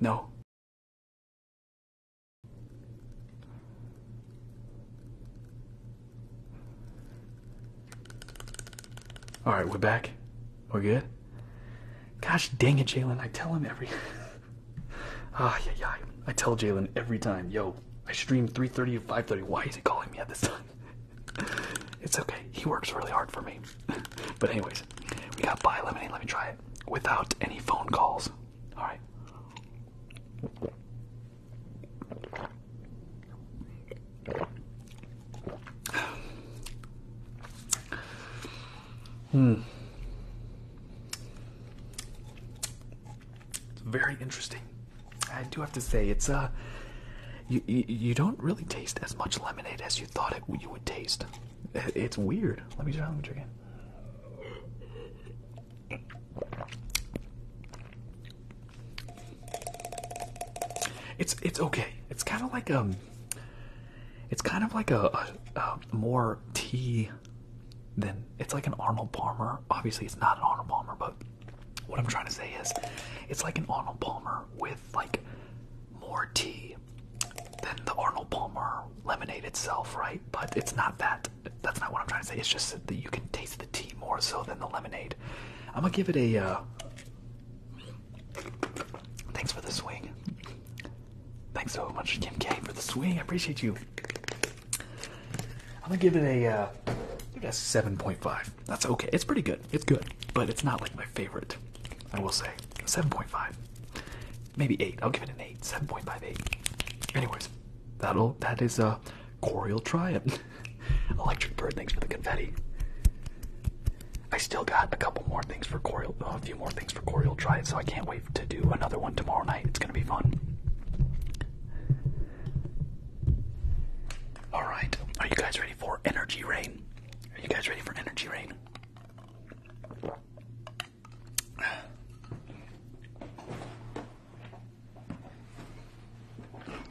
No. All right, we're back. We're good. Gosh dang it, Jalen! I tell him every. ah yeah yeah. I tell Jalen every time, yo, I stream 3:30 to 5:30. Why is he calling me at this time? it's okay. He works really hard for me. but anyways, we got buy lemonade. Let me try it without any phone calls. All right. Hmm. It's very interesting. I do have to say it's a. Uh, you, you, don't really taste as much lemonade as you thought it you would taste. It's weird. Let me try. Let again. It's it's okay. It's kind of like um. It's kind of like a more tea than it's like an Arnold Palmer. Obviously, it's not an Arnold Palmer, but what I'm trying to say is, it's like an Arnold Palmer with like more tea than the Arnold Palmer lemonade itself, right? But it's not that. That's not what I'm trying to say. It's just that you can taste the tea more so than the lemonade. I'm gonna give it a. Uh... Thanks for the swing. Thanks so much, Kim K, for the swing. I appreciate you. I'm gonna give it a, uh, give it 7.5. That's okay. It's pretty good. It's good. But it's not like my favorite. I will say 7.5. Maybe 8. I'll give it an 8. 7.58. Anyways, that'll that is a uh, Corial Triad. Electric Bird, thanks for the confetti. I still got a couple more things for Corial, a few more things for Corial Triad, so I can't wait to do another one tomorrow night. It's going to be fun. Alright, are you guys ready for Energy Rain? Are you guys ready for energy rain?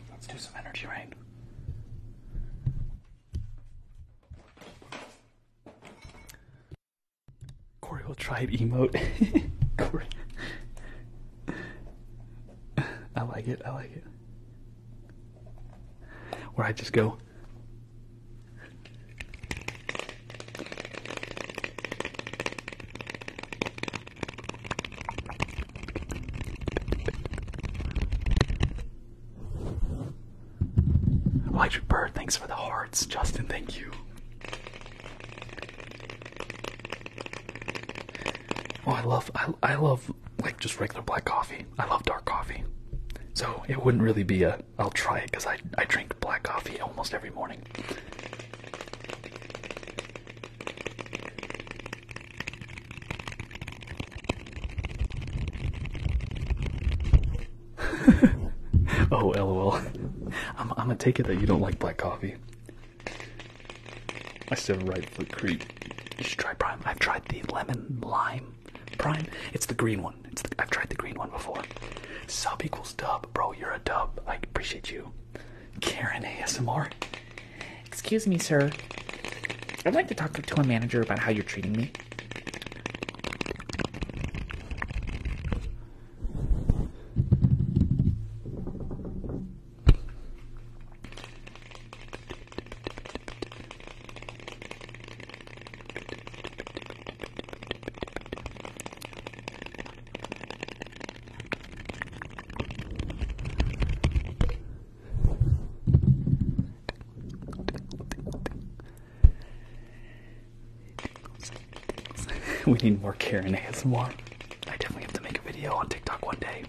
Let's do some energy rain. Corey will tribe emote. Corey. I like it, I like it where I just go. Electric Bird, thanks for the hearts. Justin, thank you. Oh, I love, I, I love like just regular black coffee. I love dark coffee. So it wouldn't really be a I'll try it because I, I drink black coffee almost every morning. oh, lol. I'm, I'm gonna take it that you don't like black coffee. I said right foot creep. I've tried the lemon lime Prime. It's the green one. I've tried the green one before. Sub equals dub, bro. You're a dub. I appreciate you. Karen ASMR. Excuse me, sir. I'd like to talk to a manager about how you're treating me. we need more Karen more. I definitely have to make a video on TikTok one day.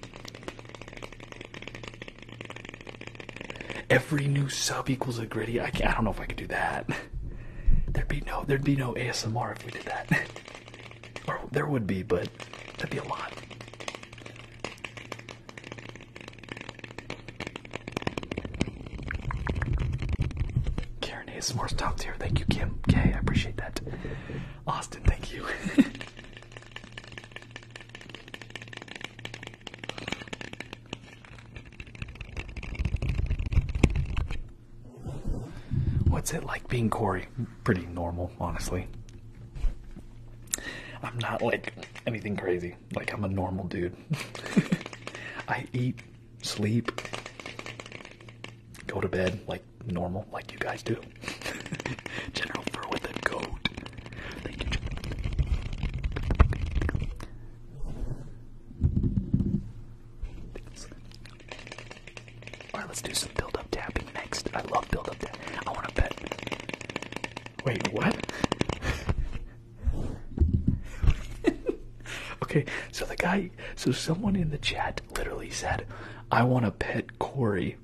Every new sub equals a gritty. I, can't, I don't know if I could do that. There'd be no there'd be no ASMR if we did that. there would be, but that'd be a lot. Karen ASMR's top here. Thank you, Kim. K, I appreciate that. Austin, thank you. What's it like being Corey? Pretty normal, honestly. I'm not like anything crazy. Like, I'm a normal dude. I eat, sleep, go to bed like normal, like you guys do. General Fur with a goat. Alright, let's do some build up tapping next. I love build up tapping. I want a pet. Wait, what? okay, so the guy, so someone in the chat literally said, I want a pet Corey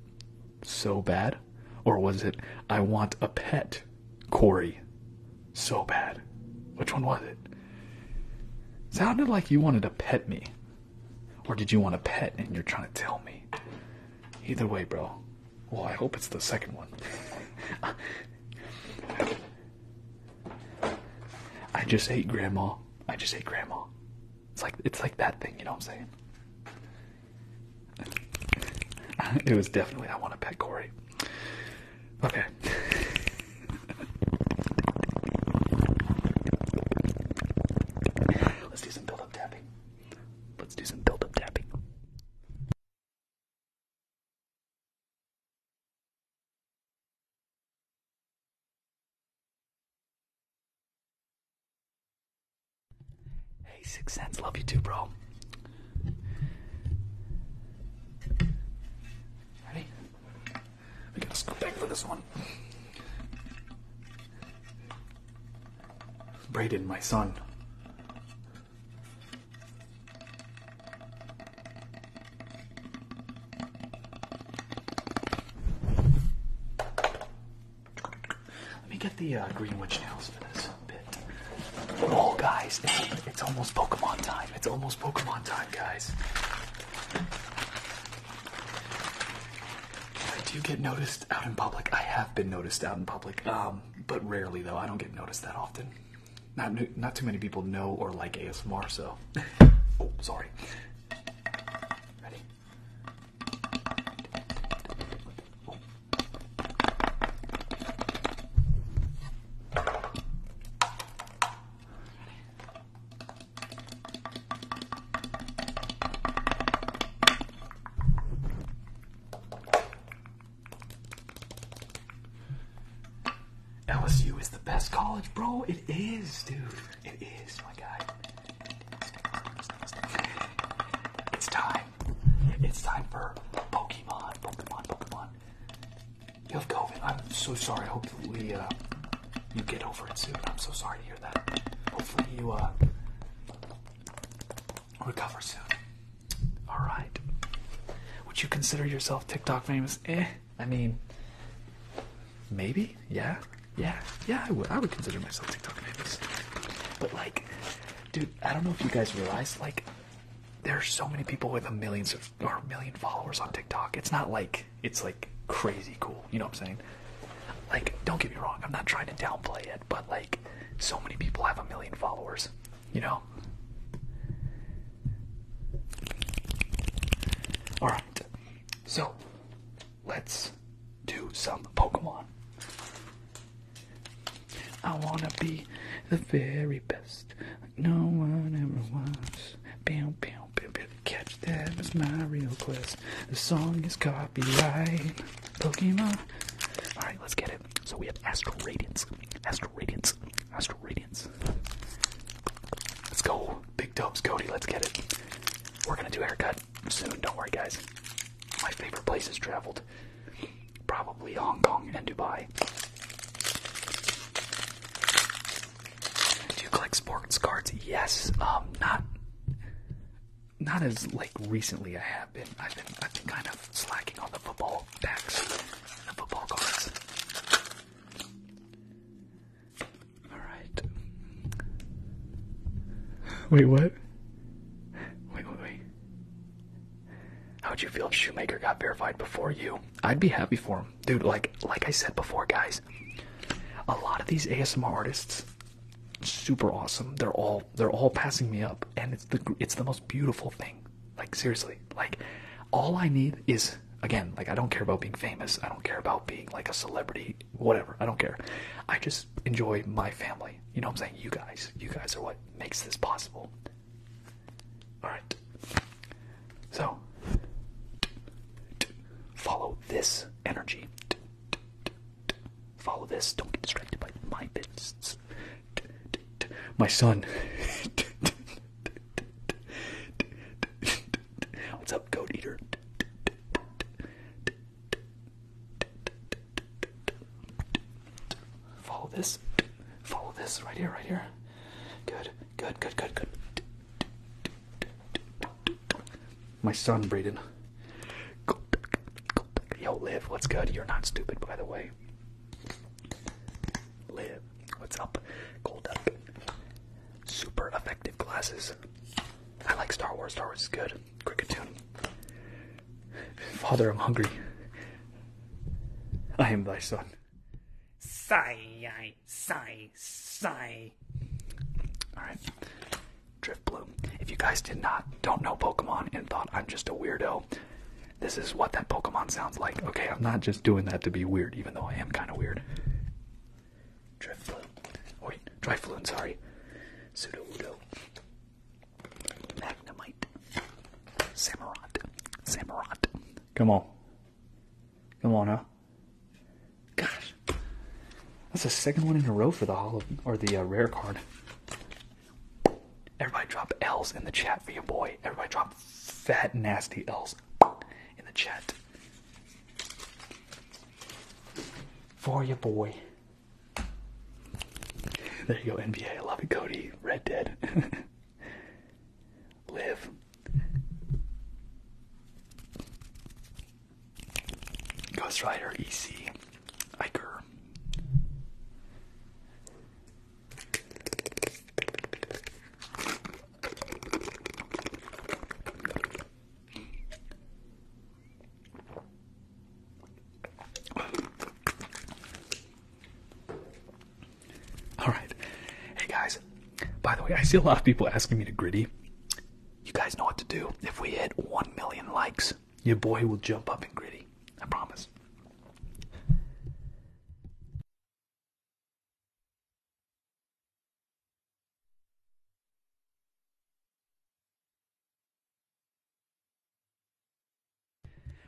so bad. Or was it I want a pet, Corey? So bad. Which one was it? Sounded like you wanted to pet me. Or did you want a pet and you're trying to tell me? Either way, bro. Well, I hope it's the second one. I just hate grandma. I just hate grandma. It's like it's like that thing, you know what I'm saying? it was definitely I want to pet Corey. Okay. Let's do some build tapping. Let's do some build tapping. Hey, Six cents. love you too, bro. Ready? We gotta scoot back for this one. Brayden, my son. Let me get the uh, green witch nails for this bit. Oh, guys, it's, almost Pokemon time. It's almost Pokemon time, guys. I do get noticed out in public. I have been noticed out in public, um, but rarely though. I don't get noticed that often. Not not too many people know or like ASMR, so. oh, sorry. Ready? LSU is the best college, bro. It is, dude. It is, my guy. It's time. It's time for Pokemon, Pokemon, Pokemon. You have COVID. I'm so sorry. Hopefully, uh, you get over it soon. I'm so sorry to hear that. Hopefully, you uh, recover soon. All right. Would you consider yourself TikTok famous? Eh. I mean, maybe. Yeah. Yeah. Yeah. I would. I would consider myself TikTok famous. But like, Dude, I don't know if you guys realize, like, there are so many people with a millions or million followers on TikTok. It's not like it's like crazy cool. You know what I'm saying? Like, don't get me wrong, I'm not trying to downplay it, but like so many people have a million followers, you know? Alright. So let's do some Pokemon. I wanna be the very best, no one ever was. Bam, bam, bam, bam. Catch that was my real quest. The song is copyright. Pokemon. All right, let's get it. So we have Astral Radiance, Astral Radiance, Astral Radiance. Let's go, big dubs, Cody. Let's get it. We're gonna do haircut soon. Don't worry, guys. My favorite places traveled probably Hong Kong and Dubai. Do you collect sports cards? Yes. Um, not not as like recently. I have been. I've been. I've been kind of slacking on the football packs, the football cards. All right. Wait, what? Wait, wait, wait. How would you feel if Shoemaker got verified before you? I'd be happy for him. Dude, like like I said before, guys, a lot of these ASMR artists, super awesome. They're all they're all passing me up, and it's the it's the most beautiful thing. Like seriously, like all I need is again, like I don't care about being famous. I don't care about being like a celebrity, whatever. I don't care. I just enjoy my family. You know what I'm saying? You guys. You guys are what makes this possible. Alright. So, follow this energy. Follow this. Don't get distracted by my business. My son. What's up, goat eater? Follow this. Follow this right here, right here. Good, good, good, good, good. My son, Braden. Yo, live. what's good? You're not stupid, by the way. Live. what's up? Gold up. Super
effective glasses. I like Star Wars. Star Wars is good. Cricket tune. Father, I'm hungry.
I am thy son. Sigh, sigh, sigh. Alright. Drift Bloom. If you guys did not, don't know Pokemon and thought I'm just a weirdo, this is what that Pokemon sounds like. Okay, I'm not just doing that to be weird, even though I am kind of weird. Drift Bloom. Wait, Drifloon, sorry. Pseudo Udo. Magnemite. Samurott. Samurott. Come on. Come on, huh? Gosh. That's the second one in a row for the hollow or the uh, rare card. Everybody drop L's in the chat for your boy. Everybody drop fat nasty L's in the chat. For your boy. There you go, NBA. I love it, Cody. Red Dead. Live. Ghost Rider, EC, Iker. All right. Hey guys, by the way, I see a lot of people asking me to gritty. You guys know what to do. If we hit 1 million likes, your boy will jump up in gritty. I promise.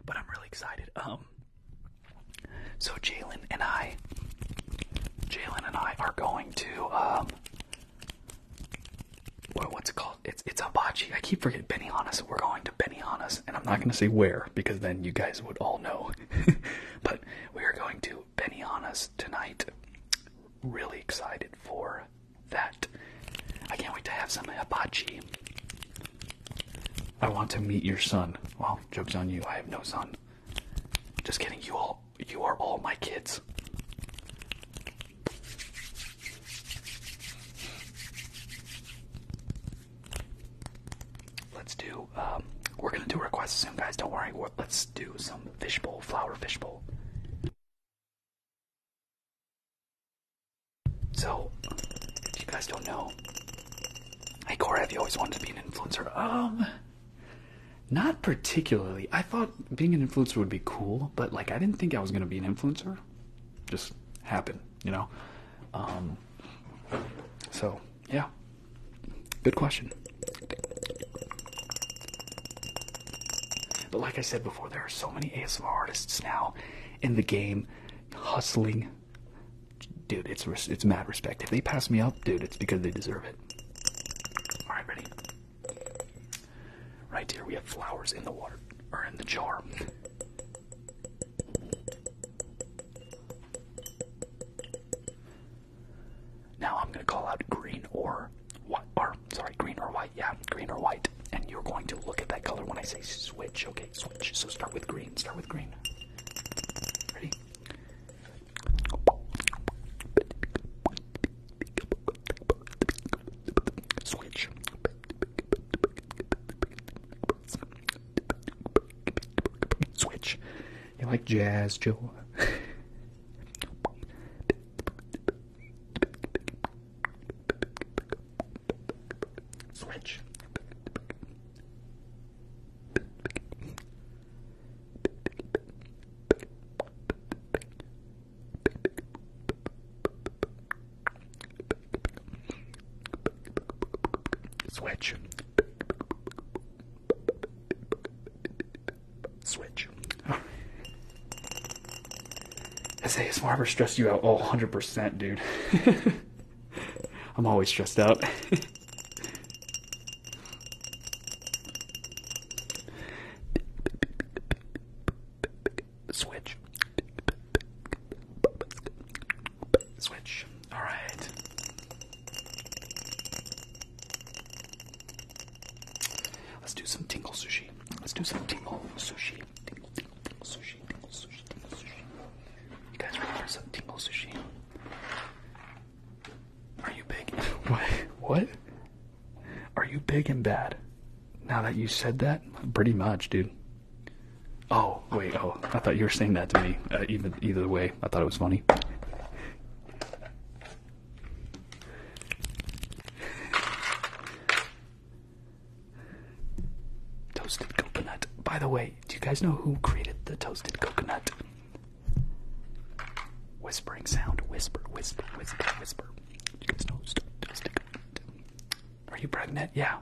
But I'm really excited. Um, so Jalen and I, Jalen and I are going to um, what's it called? It's it's hibachi. I keep forgetting Benihana's. We're going to Benihana's, and I'm not gonna say where because then you guys would all know. but we are going to Benihana's tonight. Really excited for that. I can't wait to have some hibachi. I want to meet your son. Well, joke's on you, I have no son. Just kidding, you all you are all my kids. Let's do um, we're gonna do requests soon guys, don't worry. Let's do some fishbowl, flower fishbowl. So, if you guys don't know, hey Corey, have you always wanted to be an influencer? Um, not particularly. I thought being an influencer would be cool, but like I didn't think I was gonna be an influencer. Just happened, you know. Um, so yeah, good question. But like I said before, there are so many ASMR artists now, in the game, hustling. Dude, it's it's mad respect. If they pass me up, dude, it's because they deserve it. All right, ready. Right here, we have flowers in the water or in the jar. Now I'm gonna call out green or what sorry, green or white, yeah, green or white. And you're going to look at that color when I say switch, okay? Switch. So start with green, start with green. Ready? Switch. Switch. You like jazz, Joe? Switch. Switch. Switch. Has ASMR ever stressed you out? Oh, 100%, dude. I'm always stressed out. Switch. Switch. All right. Let's do some tingle sushi. Let's do some tingle sushi. Tingle, tingle, tingle sushi sushi, sushi, tingle sushi. You guys remember some tingle sushi? Are you big? what? What? Are you big and bad? Now that you said that, pretty much, dude. Oh wait, oh, I thought you were saying that to me. Uh, even either way, I thought it was funny. Toasted coconut. By the way, do you guys know who created the toasted coconut? Whispering sound. Whisper, whisper, whisper, whisper. Do you guys know toasted coconut? Are you pregnant? Yeah.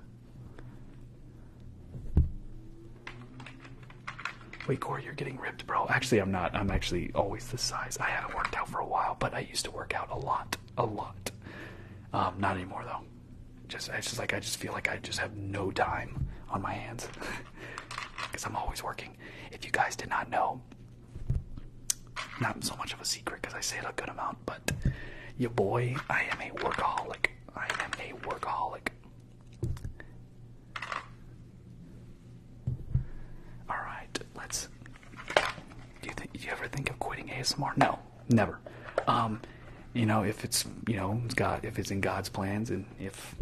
Wait, Corey, you're getting ripped, bro. Actually, I'm not. I'm actually always this size. I haven't worked out for a while, but I used to work out a lot a lot. Um, not anymore though. Just it's just like I just feel like I just have no time on my hands because I'm always working. If you guys did not know, not so much of a secret because I say it a good amount, but your boy, I am a workaholic. I am a workaholic. All right, let's. Do you ever think of quitting ASMR? No, never. Um, you know, if it's you know it's God, if it's in God's plans, and if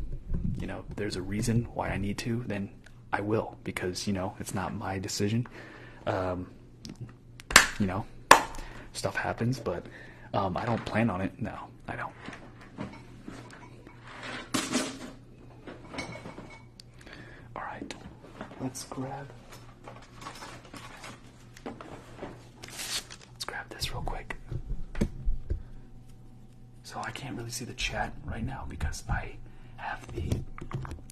you know there's a reason why I need to, then I will because you know it's not my decision. Um, you know, stuff happens, but um, I don't plan on it. No, I don't. All right, let's grab Let's grab this real quick. So I can't really see the chat right now because I have the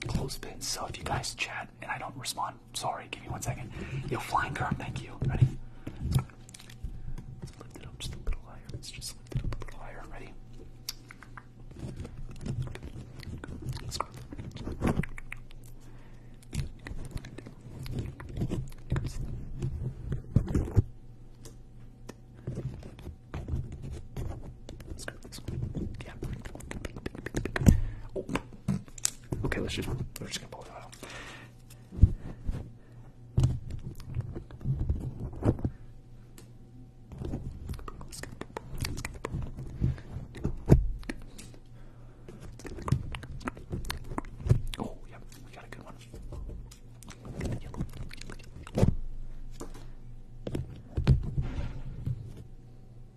clothespin. So if you guys chat and I don't respond, sorry, give me one second. Yo, flying carp, thank you. Ready? lift it up just a little higher. Let's just lift it up a little higher. Ready? Let's go this one. Yeah. Oh. Okay, let's just we're just gonna pull it out. Let's go. Let's go. Oh, yeah, we got a good one.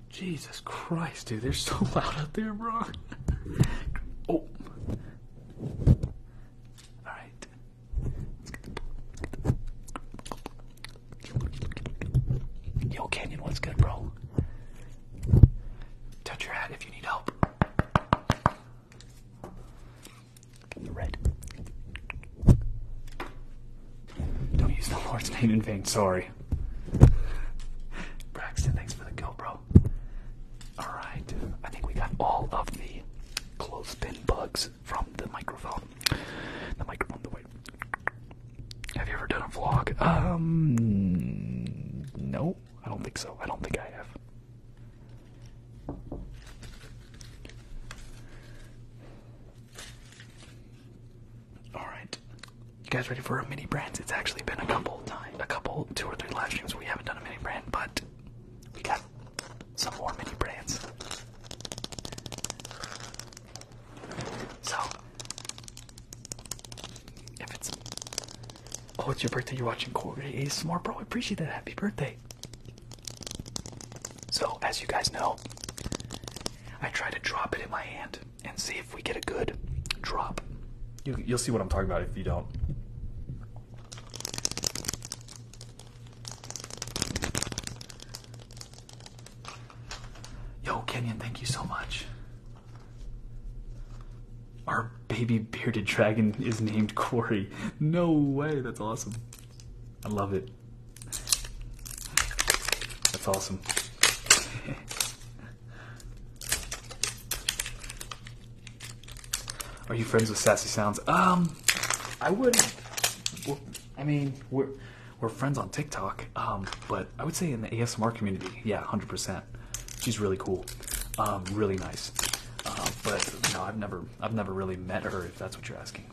Jesus Christ, dude, they're so loud out there, bro. oh. Alright. Yo, Canyon, what's good, bro? Touch your hat if you need help. The red. Don't use the Lord's name in vain, sorry. Braxton, thanks for the go, bro. Alright, I think we got all of the clothespin bugs from the microphone. The microphone, the have you ever done a vlog? Um, no, I don't think so. I don't think I have. Alright. You guys ready for a mini brands? It's actually been a couple times, a couple, two or three live streams we haven't done a mini brand, but we got some more mini brands. So, if it's oh, it's your birthday, you're watching Corey smart, bro. I appreciate that. Happy birthday. So, as you guys know, I try to drop it in my hand and see if we get a good drop. you'll see what I'm talking about if you don't. Yo, Kenyon, thank you so much. Our baby bearded dragon is named Corey. No way, that's awesome. I love it. That's awesome. Are you friends with Sassy Sounds? Um, I wouldn't. I mean, we're we're friends on TikTok, um, but I would say in the ASMR community, yeah, 100%. She's really cool, um, really nice. Uh, but no, I've never, I've never really met her. If that's what you're asking,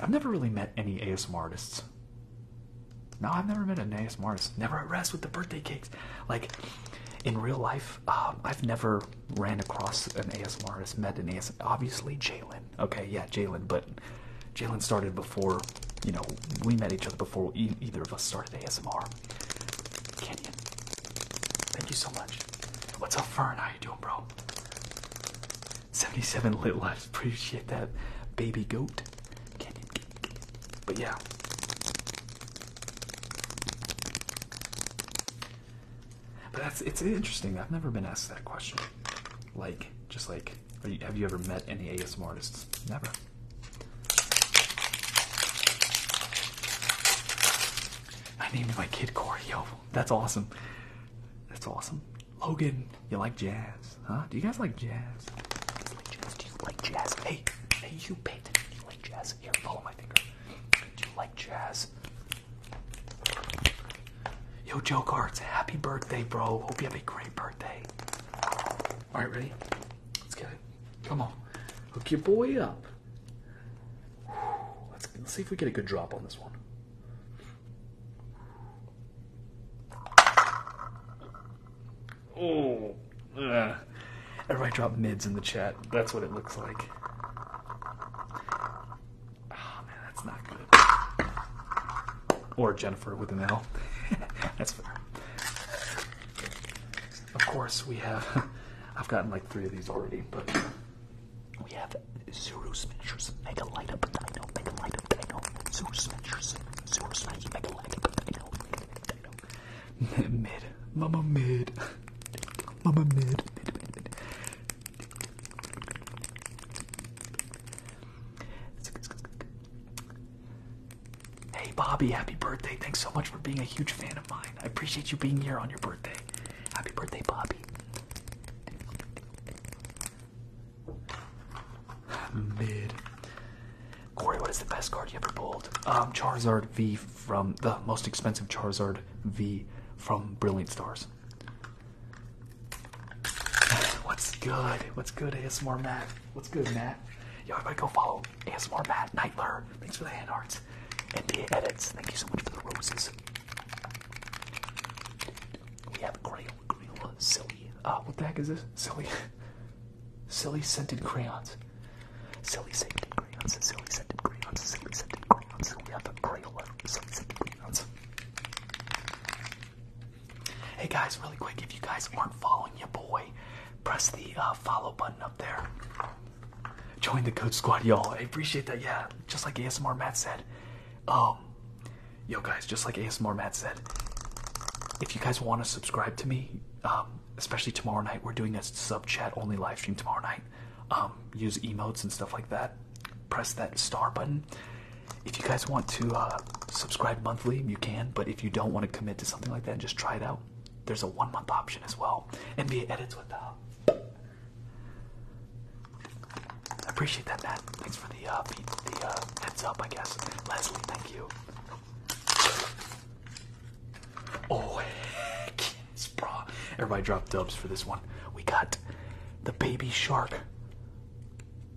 I've never really met any ASMR artists. No, I've never met an ASMR artist. Never at rest with the birthday cakes. Like in real life, um, I've never ran across an ASMR artist, met an ASMR. Obviously, Jalen. Okay, yeah, Jalen, but. Jalen started before, you know, we met each other before either of us started ASMR. Kenyon, thank you so much. What's up, Fern? How you doing, bro? 77 lit lives. Appreciate that, baby goat. Kenyon, but yeah. But that's it's interesting. I've never been asked that question. Like, just like, have you ever met any ASMR artists? Never. I named my kid Corey. Yo, that's awesome. That's awesome. Logan, you like jazz, huh? Do you guys like jazz? Do you like jazz? Hey, hey, you pay Do you like jazz? follow my finger. Do you like jazz? Yo, Joe Cards, happy birthday, bro. Hope you have a great birthday. All right, ready? Let's get it. Come on. Hook your boy up. Let's, see if we get a good drop on this one. Oh, everybody dropped mids in the chat. That's what it looks like. Oh man, that's not good. Or Jennifer with an L. That's fair. Of course, we have. I've gotten like three of these already, but we have Zero Smashers, Mega Light Up Dino, Mega Light Up Dino, Zero Smashers, Zero Smashers, Mega Light Up Dino, Mega Dino. Mid, Mama Mid, Mama Mid, Mid, Mid, Mid. Hey, Bobby, happy birthday. Thanks so much for being a huge fan of mine. I appreciate you being here on your birthday. Happy birthday, Bobby. Mid. Corey, what is the best card you ever pulled? Um, Charizard V from the most expensive Charizard V from Brilliant Stars. What's good? What's good, more Matt? What's good, Matt? that. Yo, everybody go follow ASMR Matt Nightler. Thanks for the hand arts. NBA edits. Thank you so much for the roses. We have Crayola, Silly. Uh, what the heck is this? Silly. Silly scented crayons. Silly scented crayons. Silly scented crayons. Silly scented crayons. We have Crayola. scented crayons. Hey guys, really quick, if you guys aren't following your boy, press the uh, follow button up there. Join the Code Squad, y'all. I appreciate that. Yeah, just like ASMR Matt said. Um, yo guys, just like ASMR Matt said, if you guys want to subscribe to me, um, especially tomorrow night, we're doing a sub chat only live stream tomorrow night. Um, use emotes and stuff like that. Press that star button if you guys want to uh, subscribe monthly, you can. But if you don't want to commit to something like that, just try it out. There's a one month option as well. NBA edits with the. Uh, I appreciate that, Matt. Thanks for the uh, the, heads up, I guess. Leslie, thank you. Oh, heck Everybody drop dubs for this one. We got the baby shark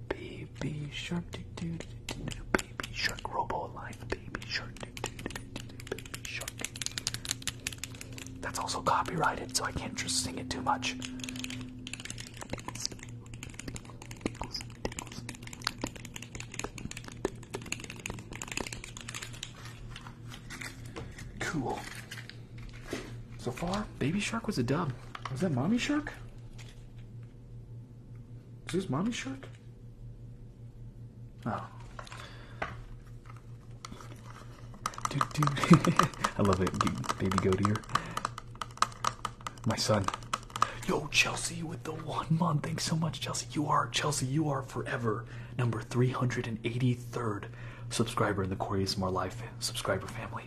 Baby shark, do do do do Baby shark, robo life. Baby shark, do do do do. Baby shark. That's also copyrighted, so I can't just sing it too much. Cool. So far, Baby Shark was a dub. Was that Mommy Shark? Is this mommy's shirt? Oh. I love it, dude. Baby Goatier. My son. Yo, Chelsea with the one Mom, Thanks so much, Chelsea. You are, Chelsea, you are forever number 383rd subscriber in the Corey More Life subscriber family.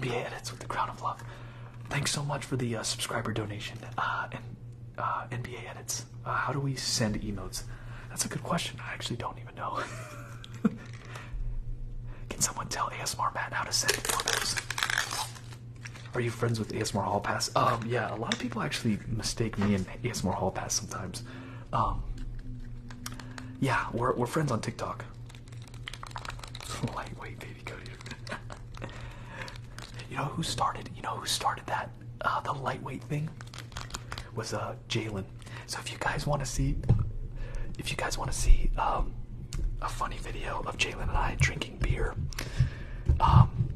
NBA edits with the crown of love. Thanks so much for the uh, subscriber donation uh, and uh, NBA edits. how do we send emotes? That's a good question. I actually don't even know. Can someone tell ASMR Matt how to send emotes? Are you friends with ASMR Hall Pass? Um, yeah, a lot of people actually mistake me and ASMR Hall Pass sometimes. Um, yeah, we're we're friends on TikTok. Lightweight baby Cody. you know who started? You know who started that uh, the lightweight thing was uh Jalen. So if you guys want to see, if you guys want to see um, a funny video of Jalen and I drinking beer, um,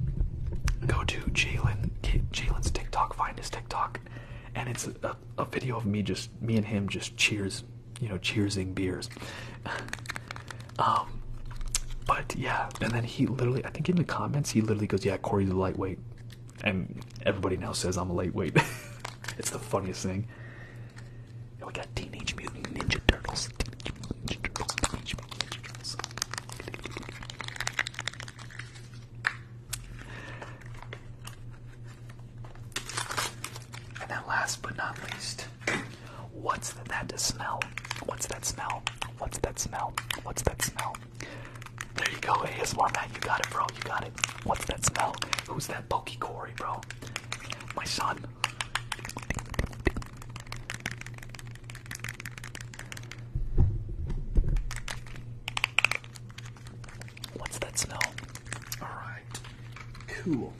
go to Jalen Jalen's TikTok. Find his TikTok and it's a, video of me just me and him just cheers you know cheersing beers um, but yeah and then he literally i think in the comments he literally goes yeah corey's a lightweight and everybody now says i'm a lightweight it's the funniest thing and we got Teenage Mutant Ninja Turtles. And then last but not least, what's that smell? What's that smell? What's that smell? What's that smell? There you go, ASMR man. you got it, bro, you got it. What's that smell? Who's that bulky Corey, bro? My son. What's that smell? All right. Cool.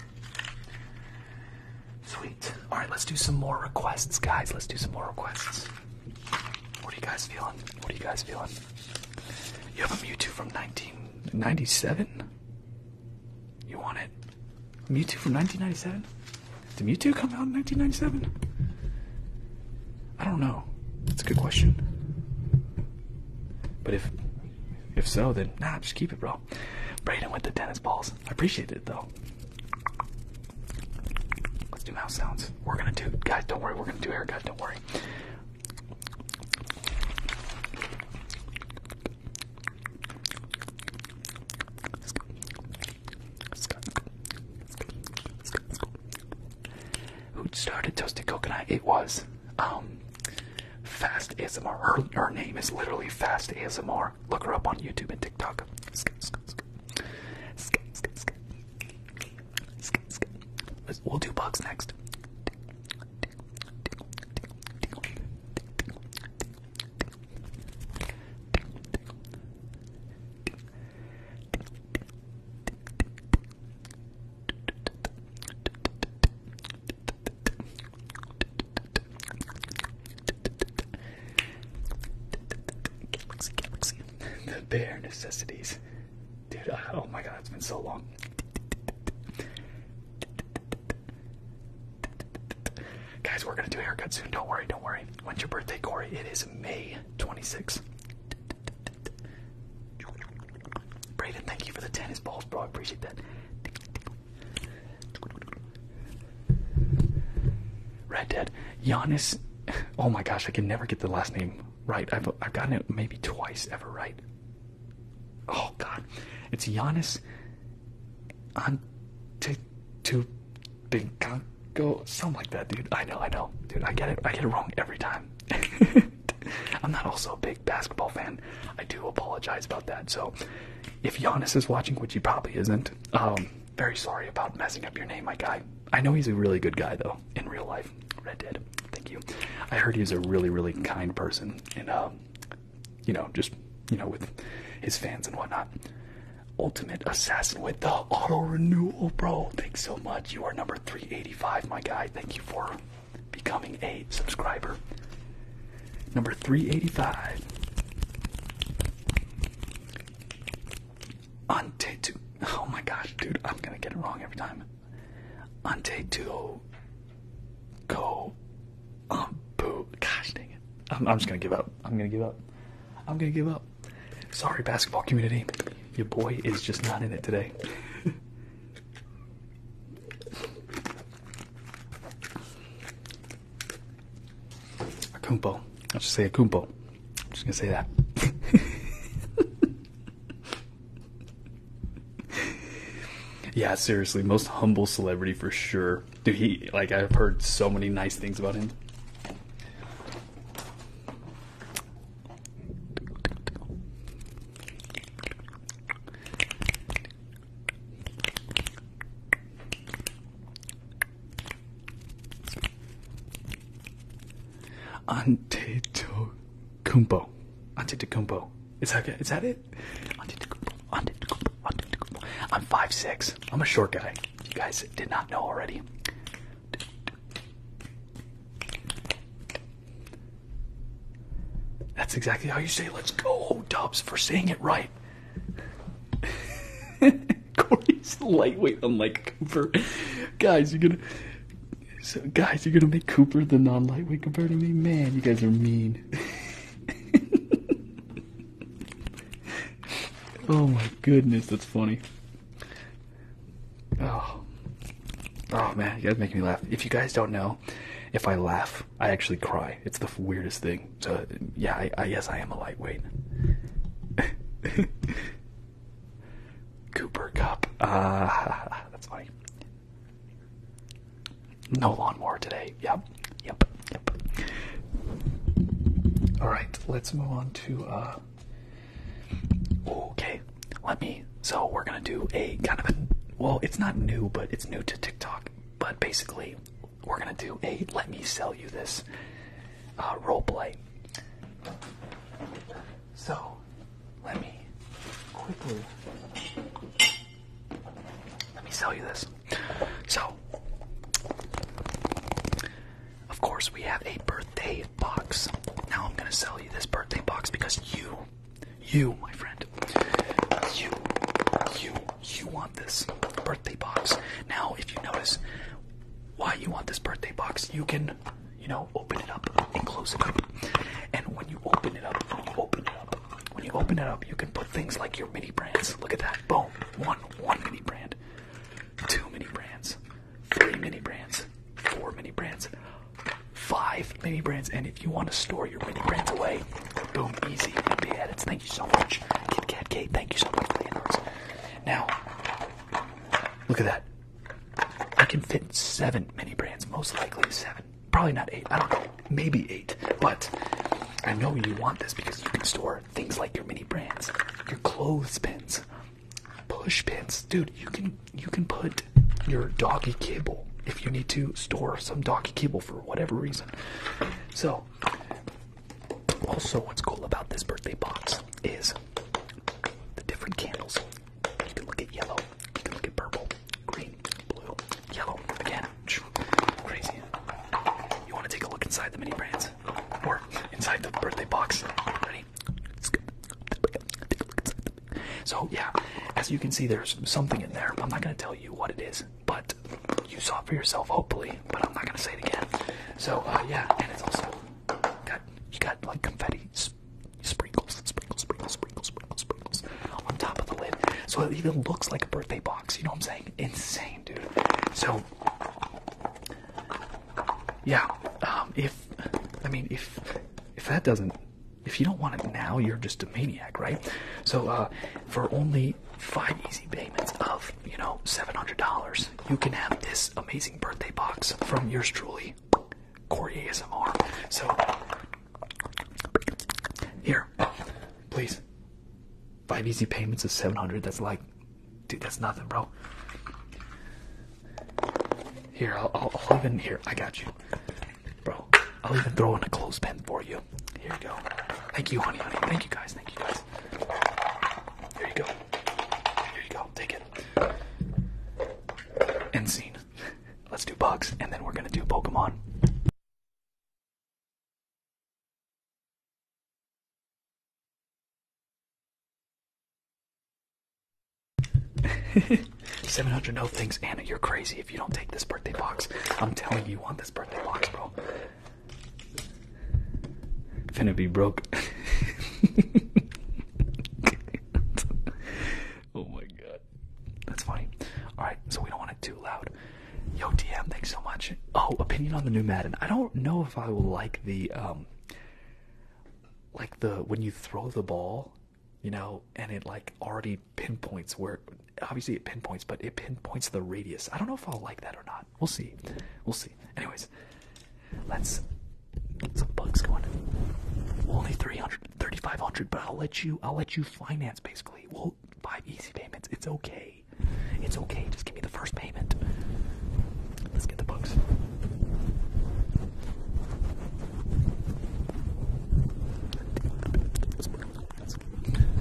Sweet. All right, let's do some more requests, guys. Let's do some more requests. What are you guys feeling? What are you guys feeling? You have a Mewtwo from 1997? You want it? Mewtwo from 1997? Did Mewtwo come out in 1997? I don't know. That's a good question. But if if so, then nah, just keep it, bro. Braden with the tennis balls. I appreciate it though. Let's do mouse sounds. We're gonna do guys, don't worry, we're gonna do haircut, don't worry. Let's go. Let's go who started Toasted Coconut. It was um, Fast ASMR. Her, her name is literally Fast ASMR. Look her up on YouTube and TikTok. We'll do bugs next the bare necessities. Dude, oh my god, it's been so long. Guys, we're gonna do a haircut soon. Don't worry, don't worry. When's your birthday, Corey? It is May 26th. Braden, thank you for the tennis balls, bro. I appreciate that. Red Dead. Giannis. Oh my gosh, I can never get the last name right. I've, I've gotten it maybe twice ever right. Oh god. It's Giannis. Antetokounmpo. Go something like that, dude. I know, I know, dude. I get it. I get it wrong every time. I'm not also a big basketball fan. I do apologize about that. So, if Giannis is watching, which he probably isn't, um, very sorry about messing up your name, my guy. I know he's a really good guy though in real life. Red Dead. Thank you. I heard he's a really, really kind person, and um, you know, just you know, with his fans and whatnot. Ultimate Assassin with the auto renewal, bro. Thanks so much. You are number 385, my guy. Thank you for becoming a subscriber. Number 385. Antetu. Oh my gosh, dude, I'm gonna get it wrong every time. Antetu. Go. Um, Gosh dang it. I'm, I'm just gonna give up. I'm gonna give up. I'm gonna give up. Sorry, basketball community. Your boy is just not in it today. Akumpo. I'll just say Akumpo. I'm just gonna say that. yeah, seriously, most humble celebrity for sure. Dude, he like I've heard so many nice things about him. Antetokounmpo. Antetokounmpo. Is that is that it? Antetokounmpo. Antetokounmpo. Antetokounmpo. I'm five 6 I'm a short guy. you guys did not know already. That's exactly how you say let's go, Dubs, for saying it right. Corey's lightweight, unlike Cooper. Guys, you're gonna guys, you're gonna make Cooper the non-lightweight compared to me? Man, you guys are mean. oh my goodness, that's funny. Oh, oh man, you guys make me laugh. If you guys don't know, if I laugh, I actually cry. It's the weirdest thing. So yeah, I, I guess I am a lightweight. Cooper Cup. Ah, uh, that's funny. No lawnmower today. Yep, yep, yep. All right, let's move on to. Uh, Okay, let me. So we're gonna do a kind of a. Well, it's not new, but it's new to TikTok. But basically, we're gonna do a "Let me sell you this" uh, role play. So, let
me quickly.
Let me sell you this. So, of course, we have a birthday box. Now I'm gonna sell you this birthday box because you, you, my friend, you, you, you want this birthday box. Now, if you notice why you want this birthday box, you can, you know, open it up and close it up. And when you open it up, when you open it up, when you open it up, you can put things like your mini brands. Look at that. Boom. One, one mini brand two mini brands, three mini brands, four mini brands, five mini brands. And if you want to store your mini brands away, boom, easy. MB edits. Thank you so much, Kid Kat Kate. Thank you so much for the inputs. Now, look at that. I can fit seven mini brands, most likely seven. Probably not eight. I don't know. Maybe eight. But I know you want this because you can store things like your mini brands, your clothes pins. Push pins, dude. You can you can put your doggy cable if you need to store some doggy cable for whatever reason. So, also, what's cool about this birthday box is the different candles. You can look at yellow, you can look at purple, green, blue, yellow. Again, crazy. You want to take a look inside the mini brands or inside the birthday box? Ready? So yeah, as you can see, there's something in there. I'm not gonna tell you what it is, but you saw it for yourself, hopefully. But I'm not gonna say it again. So uh, yeah, and it's also got you got like confetti sprinkles, sprinkles, sprinkles, sprinkles, sprinkles, sprinkles on top of the lid. So it even looks like a birthday box. You know what I'm saying? Insane, dude. So yeah, um, if I mean if if that doesn't if you don't want it now, you're just a maniac, right? So uh, for only five easy payments of you know seven hundred dollars, you can have this amazing birthday box from yours truly, Corey ASMR. So here, please, five easy payments of seven hundred. That's like, dude, that's nothing, bro. Here, I'll, I'll, even here. I got you, bro. I'll even throw in a clothespin for you. Here you go. Thank you, honey, honey. Thank you, guys. Thank you, guys. Here you go. Here you go. Take it. End scene. Let's do bugs, and then we're gonna do Pokemon. Seven hundred no things, Anna. You're crazy if you don't take this birthday box. I'm telling you, you want this birthday box, bro. Gonna be broke. oh my god, that's funny. All right, so we don't want it too loud. Yo, DM, thanks so much. Oh, opinion on the new Madden. I don't know if I will like the um, like the when you throw the ball, you know, and it like already pinpoints where obviously it pinpoints, but it pinpoints the radius. I don't know if I'll like that or not. We'll see. We'll see. Anyways, let's get some bugs going. Only 300 but I'll let you I'll let you finance basically. We'll buy easy payments. It's okay. It's okay. Just give me the first payment. Let's get the bugs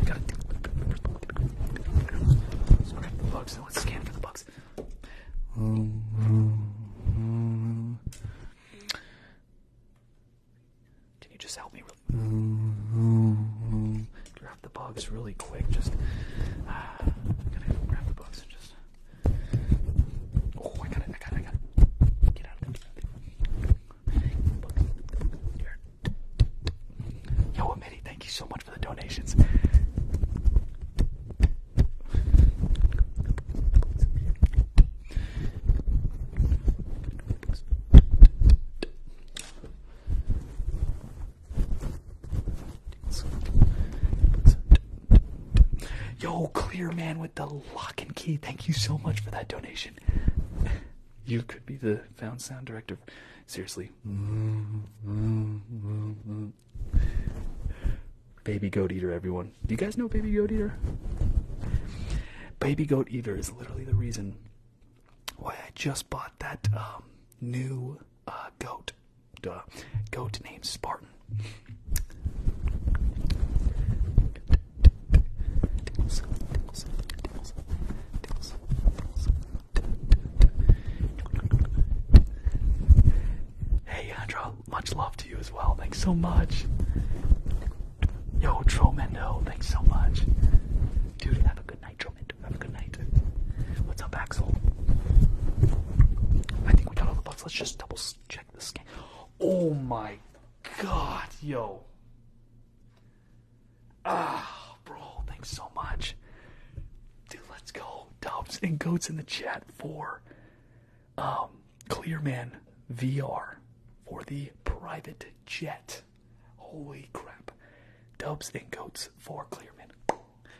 got the bugs. Let's scan for the bugs. Can you just help me? Grab the bugs really quick. Just uh, grab the bugs and just. Oh, I got it, I got it, I got it. Get out of Here. Yo, Amity, thank you so much for the donations. Yo, clear man with the lock and key. Thank you so much for that donation. You could be the found sound director. Seriously. Baby Goat Eater, everyone. Do you guys know Baby Goat Eater? Baby Goat Eater is literally the reason why I just bought that um, new uh, goat duh, go to name Spartan. Hey Andra, much love to you as well. Thanks so much. Yo, Mendo. thanks so much. Dude, have a good night, Tromendo. Have a good night. What's up, Axel? I think we got all the bugs. Let's just double check this game! Oh my god, yo. Ah, bro, thanks so much. Dude, let's go. Dubs and goats in the chat for um, Clearman VR for the private jet. Holy crap. Dubs and goats for Clearman.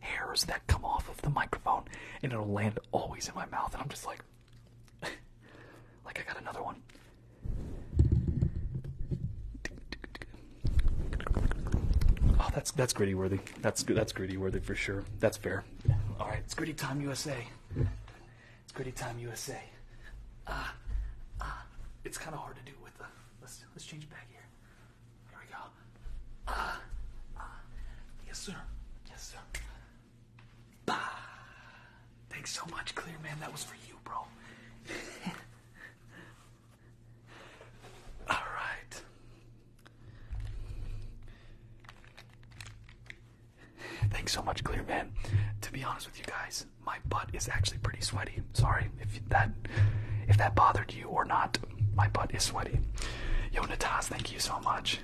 hairs that come off of the microphone and it'll land always in my mouth and I'm just like like I got another one. Oh, that's that's gritty worthy. That's That's gritty worthy for sure. That's fair. All right, it's gritty time USA. It's gritty time USA. Ah, ah. it's kind of hard to do with the. Let's let's change back here. Here we go. Yes, sir. Yes, sir. Bah. Thanks so much, Clear Man. That was for you, bro. All right. Thanks so much, Clear Man. To be honest with you guys, my butt is actually pretty sweaty. Sorry if that if that bothered you or not, my butt is sweaty. Yo, Natas, thank you so much.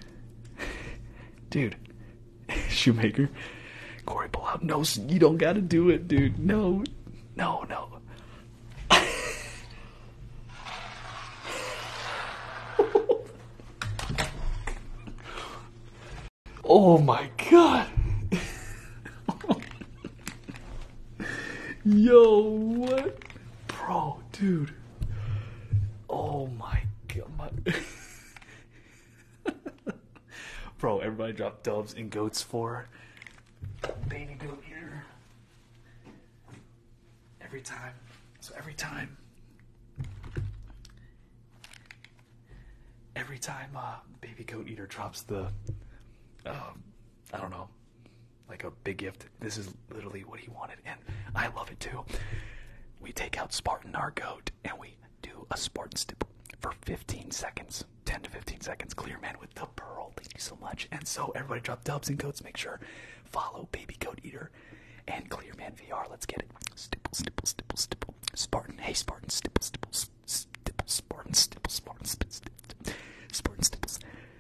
dude, Shoemaker, Corey, pull out. No, you don't gotta do it, dude. No, no, no. oh my god. Yo, Bro, dude. Oh my god. Bro, everybody drop doves and goats for baby goat ear. Every time. So every time. Every time uh, Baby Goat Eater drops the, um, I don't know, like a big gift. This is literally what he wanted, and I love it too. We take out Spartan, our goat, and we do a Spartan stipple for 15 seconds, 10 to 15 seconds. Clear man with the pearl. Thank you so much. And so everybody drop dubs and goats. Make sure follow Baby Goat Eater and Clear Man VR. Let's get it. Stipple, stipple, stipple, stipple. Spartan. Hey Spartan. Stipple, stipple, stipple. Spartan. Stipple, Spartan. Stipple, stipple. Spartan. Stipple.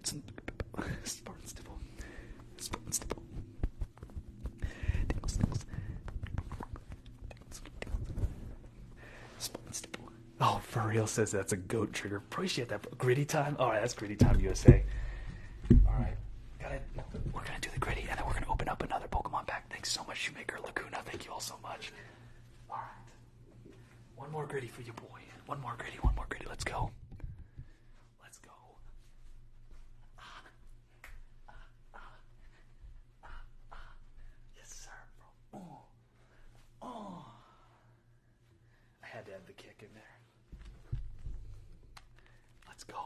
Spartanstable. Spartanstable.
Oh, for real says that's a goat trigger. Appreciate that. Gritty time? Alright, that's gritty time, USA. Alright. Got it. We're gonna do the gritty and then we're gonna open up another Pokemon pack. Thanks so much, Shoemaker Lacuna. Thank you all so much. One more gritty for you, boy. One more gritty, one more gritty. Let's go. Let's go. Yes, sir, bro. Oh. Oh. I had to have the kick in there. Let's go.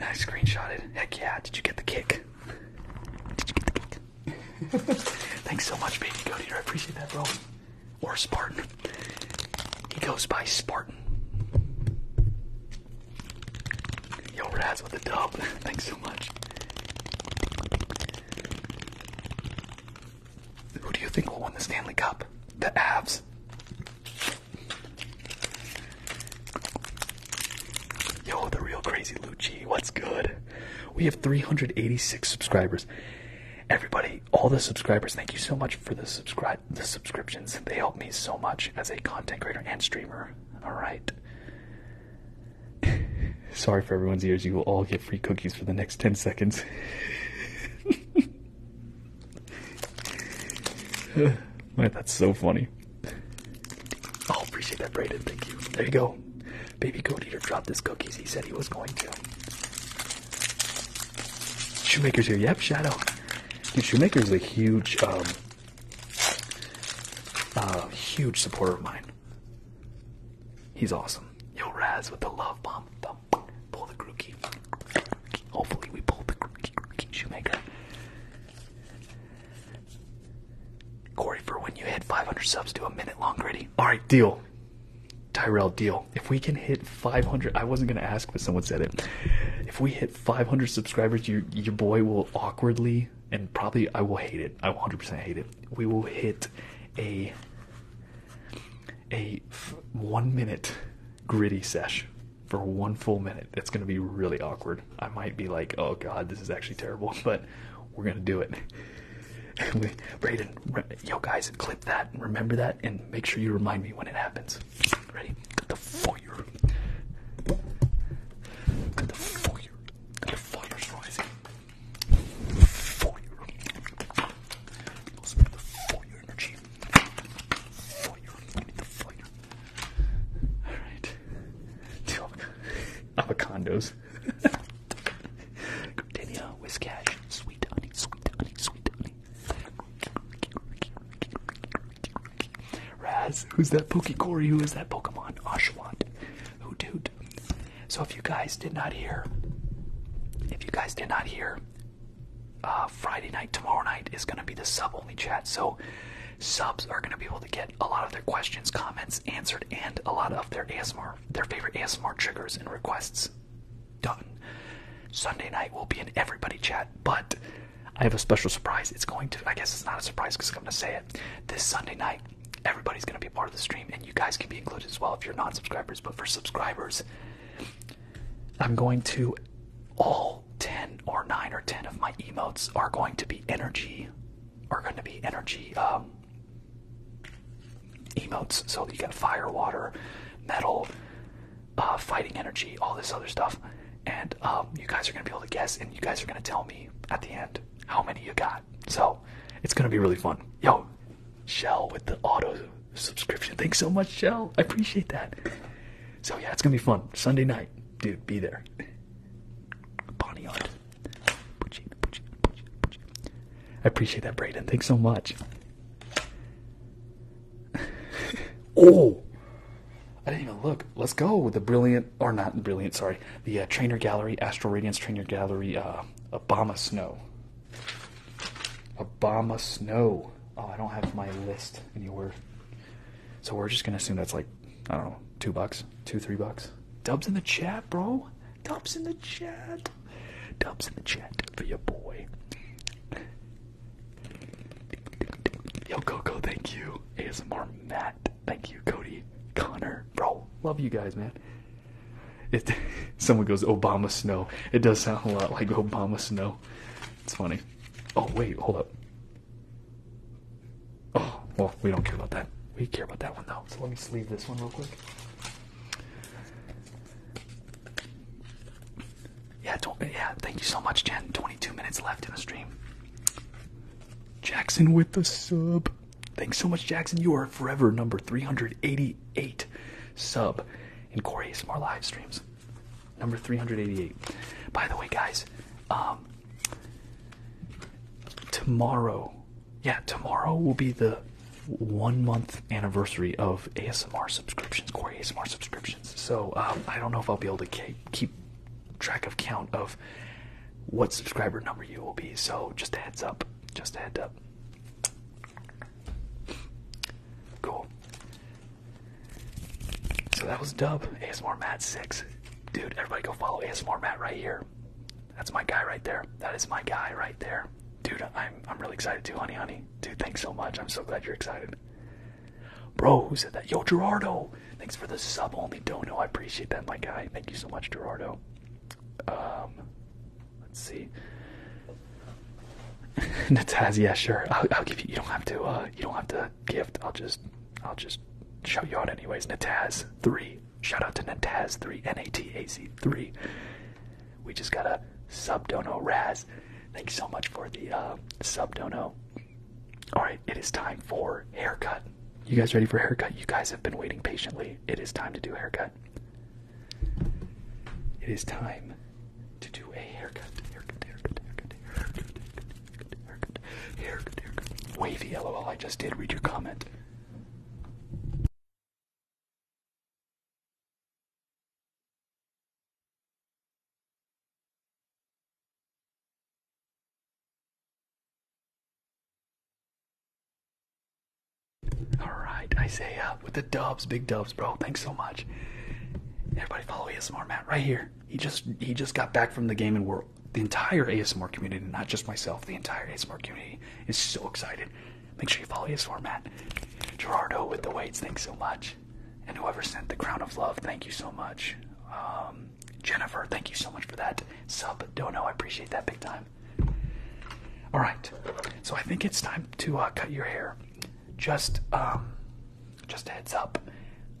I screenshotted. Heck yeah! Did you get the kick? Did you get the kick? Thanks so much, baby Cody. I appreciate that, bro. Or Spartan. He goes by Spartan. Yo, Raz with the dub. Thanks so much. Who do you think will win the Stanley Cup? The Avs. Yo, the real crazy Lucci, what's good? We have 386 subscribers. Everybody, all the subscribers, thank you so much for the subscribe the subscriptions. They help me so much as a content creator and streamer. Alright. Sorry for everyone's ears, you will all get free cookies for the next 10 seconds. Man, that's so funny. Oh, appreciate that, Braden. Thank you. There you go. Baby Goat Eater dropped his cookies. He said he was going to. Shoemaker's here. Yep, Shadow. Dude, Shoemaker's a huge, um, uh, huge supporter of mine. He's awesome. Yo, Raz with the love bomb. Pull the grookey. Hopefully, we pull the grookey, grookey, Shoemaker. Corey, for when you hit 500 subs, do a minute long gritty. All right, deal. Tyrell, deal. If we can hit 500, I wasn't gonna ask, but someone said it. If we hit 500 subscribers, your your boy will awkwardly and probably I will hate it. I 100% hate it. We will hit a one minute gritty sesh for one full minute. It's going to be really awkward. I might be like, oh god, this is actually terrible, but we're going to do it. Ready? Brayden, yo guys, clip that, and remember that, and make sure you remind me when it happens. Ready? the fire. the fire. The fire's rising. The fire. Must be the fire energy. the fire. All right. Two avocados. Gardenia, sweet honey, sweet honey, sweet honey. Raz, who's that Pokekori? Who is that Pokemon? Oshawott. Who dude? So if you guys did not hear, if you guys did not hear, uh, Friday night, tomorrow night is gonna be the sub only chat. So subs are going to be able to get a lot of their questions, comments answered, and a lot of their ASMR, their favorite ASMR triggers and requests done. Sunday night will be in everybody chat, but I have a special surprise. It's going to, I guess it's not a surprise because I'm going to say it. This Sunday night, everybody's going to be part of the stream, and you guys can be included as well if you're non subscribers. But for subscribers, I'm going to all 10 or 9 or 10 of my emotes are going to be energy are going to be energy um, emotes so you got fire water metal uh, fighting energy all this other stuff and um, you guys are going to be able to guess and you guys are going to tell me at the end how many you got so it's going to be really fun yo shell with the auto subscription thanks so much shell i appreciate that so yeah it's going to be fun sunday night dude, be there. Bonnyard. I appreciate that, Braden. Thanks so much. oh, I didn't even look. Let's go with the brilliant, or not brilliant, sorry, the uh, Trainer Gallery, Astral Radiance Trainer Gallery, uh, Obama Snow. Obama Snow. Oh, I don't have my list anywhere. So we're just gonna assume that's like, I don't know, two bucks, two, three bucks. Dubs in the chat, bro. Dubs in the chat. Dubs in the chat for your boy. Yo, Coco, thank you. ASMR Matt, thank you. Cody, Connor, bro, love you guys, man. It. Someone goes Obama Snow. It does sound a lot like Obama Snow. It's funny. Oh wait, hold up. Oh, well, we don't care about that. We care about that one though. So let me sleeve this one real quick. Yeah, yeah. Thank you so much, Jen. 22 minutes left in the stream.
Jackson with the sub.
Thanks so much, Jackson. You are forever number 388 sub in Corey Smart live streams number 388. By the way, guys, um, tomorrow, yeah, tomorrow will be the one month anniversary of ASMR subscriptions, Corey ASMR subscriptions. So um, I don't know if I'll be able to keep track of count of what subscriber number you will be. So just a heads up, just a heads up. Cool. So that was Dub ASMR Matt six, dude. Everybody go follow ASMR Matt right here. That's my guy right there. That is my guy right there, dude. I'm I'm really excited too, honey, honey. Dude, thanks so much. I'm so glad you're excited. Bro, who said that? Yo, Gerardo. Thanks for the sub only dono. I appreciate that, my guy. Thank you so much, Gerardo. Um, let's see. Nataz, yeah, sure. I'll, I'll give you. You don't have to. Uh, you don't have to gift. I'll just I'll just show you out anyways. Nataz three. Shout out to Nataz three. N A T A Z three. We just got a sub dono Raz. Thanks so much for the uh, sub dono. All right, it is time for haircut. You guys ready for haircut? You guys have been waiting patiently. It is time to do haircut. It is time to do a Haircut, haircut, haircut, haircut, haircut, haircut, haircut, haircut, haircut, haircut. Wavy, lol, I just did read your comment. Alright, Isaiah uh, with the dubs, big dubs, bro. Thanks so much. Everybody follow ASMR Matt right here. He just he just got back from the game and we the entire ASMR community, not just myself, the entire ASMR community is so excited. Make sure you follow ASMR Matt. Gerardo with the weights, thanks so much. And whoever sent the crown of love, thank you so much. Um, Jennifer, thank you so much for that sub dono. I appreciate that big time. All right, so I think it's time to uh, cut your hair. Just um, just a heads up,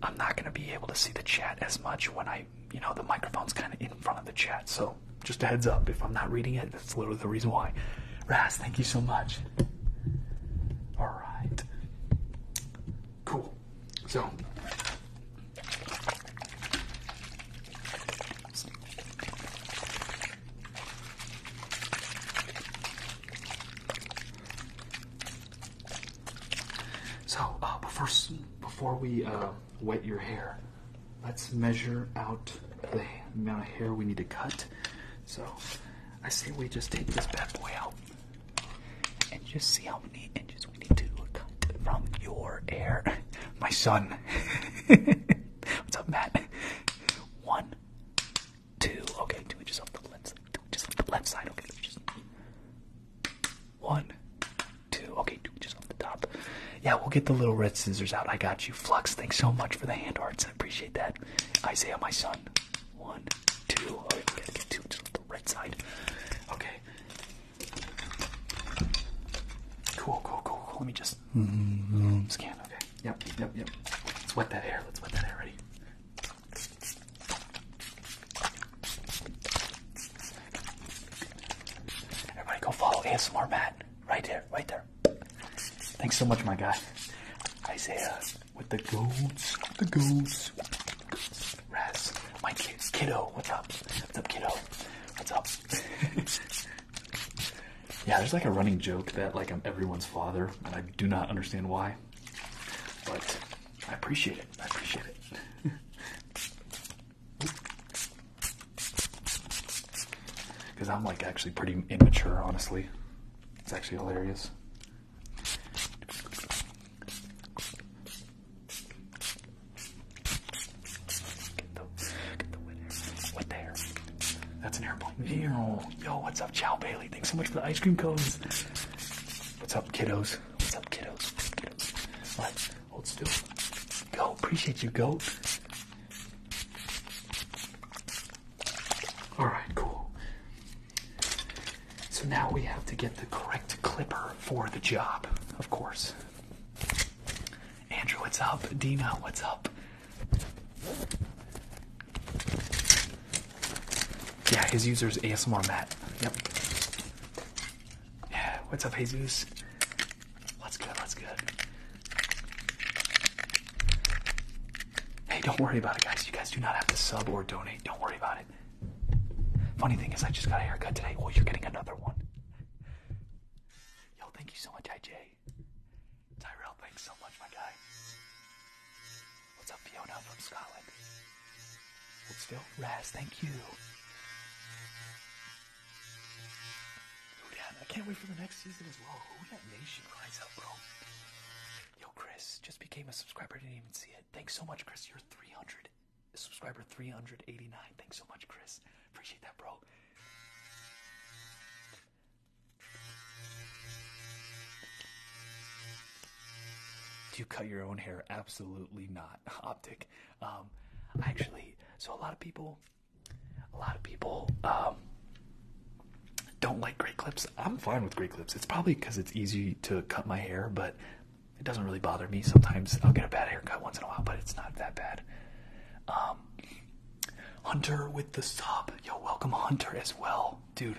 I'm not going to be able to see the chat as much when I, you know, the microphone's kind of in front of the chat. So just a heads up, if I'm not reading it, that's literally the reason why. Raz, thank you so much. All right. Cool. So. So uh, before before we uh, wet your hair, let's measure out the amount of hair we need to cut. So I say we just take this bad boy out and just see how many inches we need to cut from your hair. My son. What's up, Matt? One, two. Okay, two inches off the left side. off the left side. Okay, one, two. Okay, do just off the top. Yeah, we'll get the little red scissors out. I got you. Flux, thanks so much for the hand arts. I appreciate that. Isaiah, my son. One, two. Okay, we gotta get two just off the red side. Okay. Cool, cool, cool, cool. Let me just
mm -hmm.
scan. Okay. Yep, yep, yep. Let's wet that hair. Let's wet that hair. Ready? Everybody go follow ASMR Matt right there, right there. Thanks so much, my guy. Isaiah with the goats, the goats. Raz, my kid, kiddo, what's up? What's up, kiddo? What's up? yeah, there's like a running joke that like I'm everyone's father, and I do not understand why. But I appreciate it. I appreciate it. Because I'm like actually pretty immature, honestly. It's actually hilarious. Get the, get the winner. What the That's an airplane. Yo, yo, what's up, Chow Bailey? Thanks so much for the ice cream cones. What's up, kiddos? What's up, kiddos? kiddos? Let's hold still. Go. Appreciate you, go. Alright, cool. So now we have to get the correct clipper for the job, of course. Andrew, what's up? Dina, what's up? Yeah, his user is ASMR Matt. Yep. Yeah, what's up, Jesus? What's good? What's good? Hey, don't worry about it, guys. You guys do not have to sub or donate. Don't worry about it. Funny thing is, I just got a haircut today. Oh, you're getting another one. Yo, thank you so much, IJ. Tyrell, thanks so much, my guy. What's up, Fiona from Scotland? Hold still. Raz, thank you. Houdan, I can't wait for the next season as well. that Nation, rise up, bro. Yo, Chris, just became a subscriber. Didn't even see it. Thanks so much, Chris. You're 300. Subscriber 389. Thanks so much, Chris. Appreciate that, bro. Do you cut your own hair? Absolutely not. Optic. Um, actually, so a lot of people, a lot of people um, don't like great clips. I'm fine with great clips. It's probably because it's easy to cut my hair, but it doesn't really bother me. Sometimes I'll get a bad haircut once in a while, but it's not that bad. Um, Hunter with the sub. Yo, welcome Hunter as well, dude.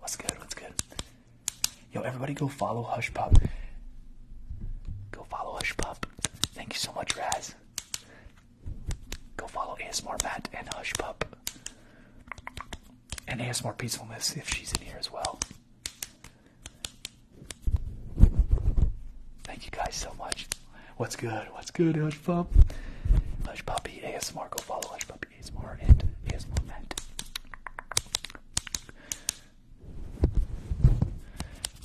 What's good? What's good? Yo, everybody go follow Hush Pop. Go follow Hush Pop. Thank you so much, Raz. Go follow ASMR Matt and Hush Pup. And ASMR Peacefulness if she's in here as well. Thank you guys so much. What's good? What's good, Hush Pup? Hush Puppy ASMR. Go follow Hush Puppy ASMR and ASMR Matt.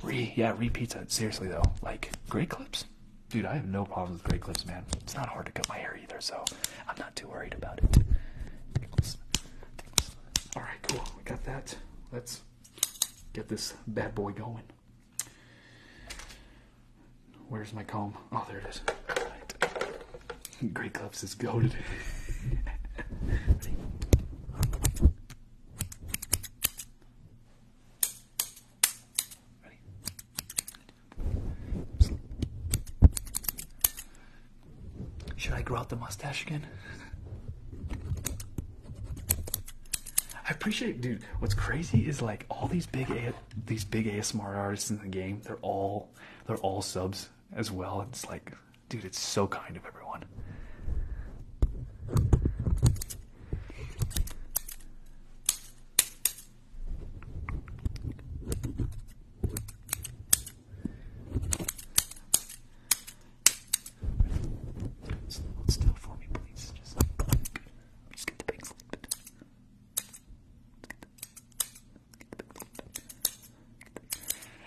Re, yeah, re pizza. Seriously though, like great clips, dude. I have no problems with great clips, man. It's not hard to cut my hair either, so I'm not too worried about it. All right, cool. We got that. Let's get this bad boy going. Where's my comb? Oh, there it is. Great Gloves is goaded. Ready? Should I grow out the mustache again? I appreciate, dude. What's crazy is like all these big these big ASMR artists in the game, they're all they're all subs as well. It's like, dude, it's so kind of everyone.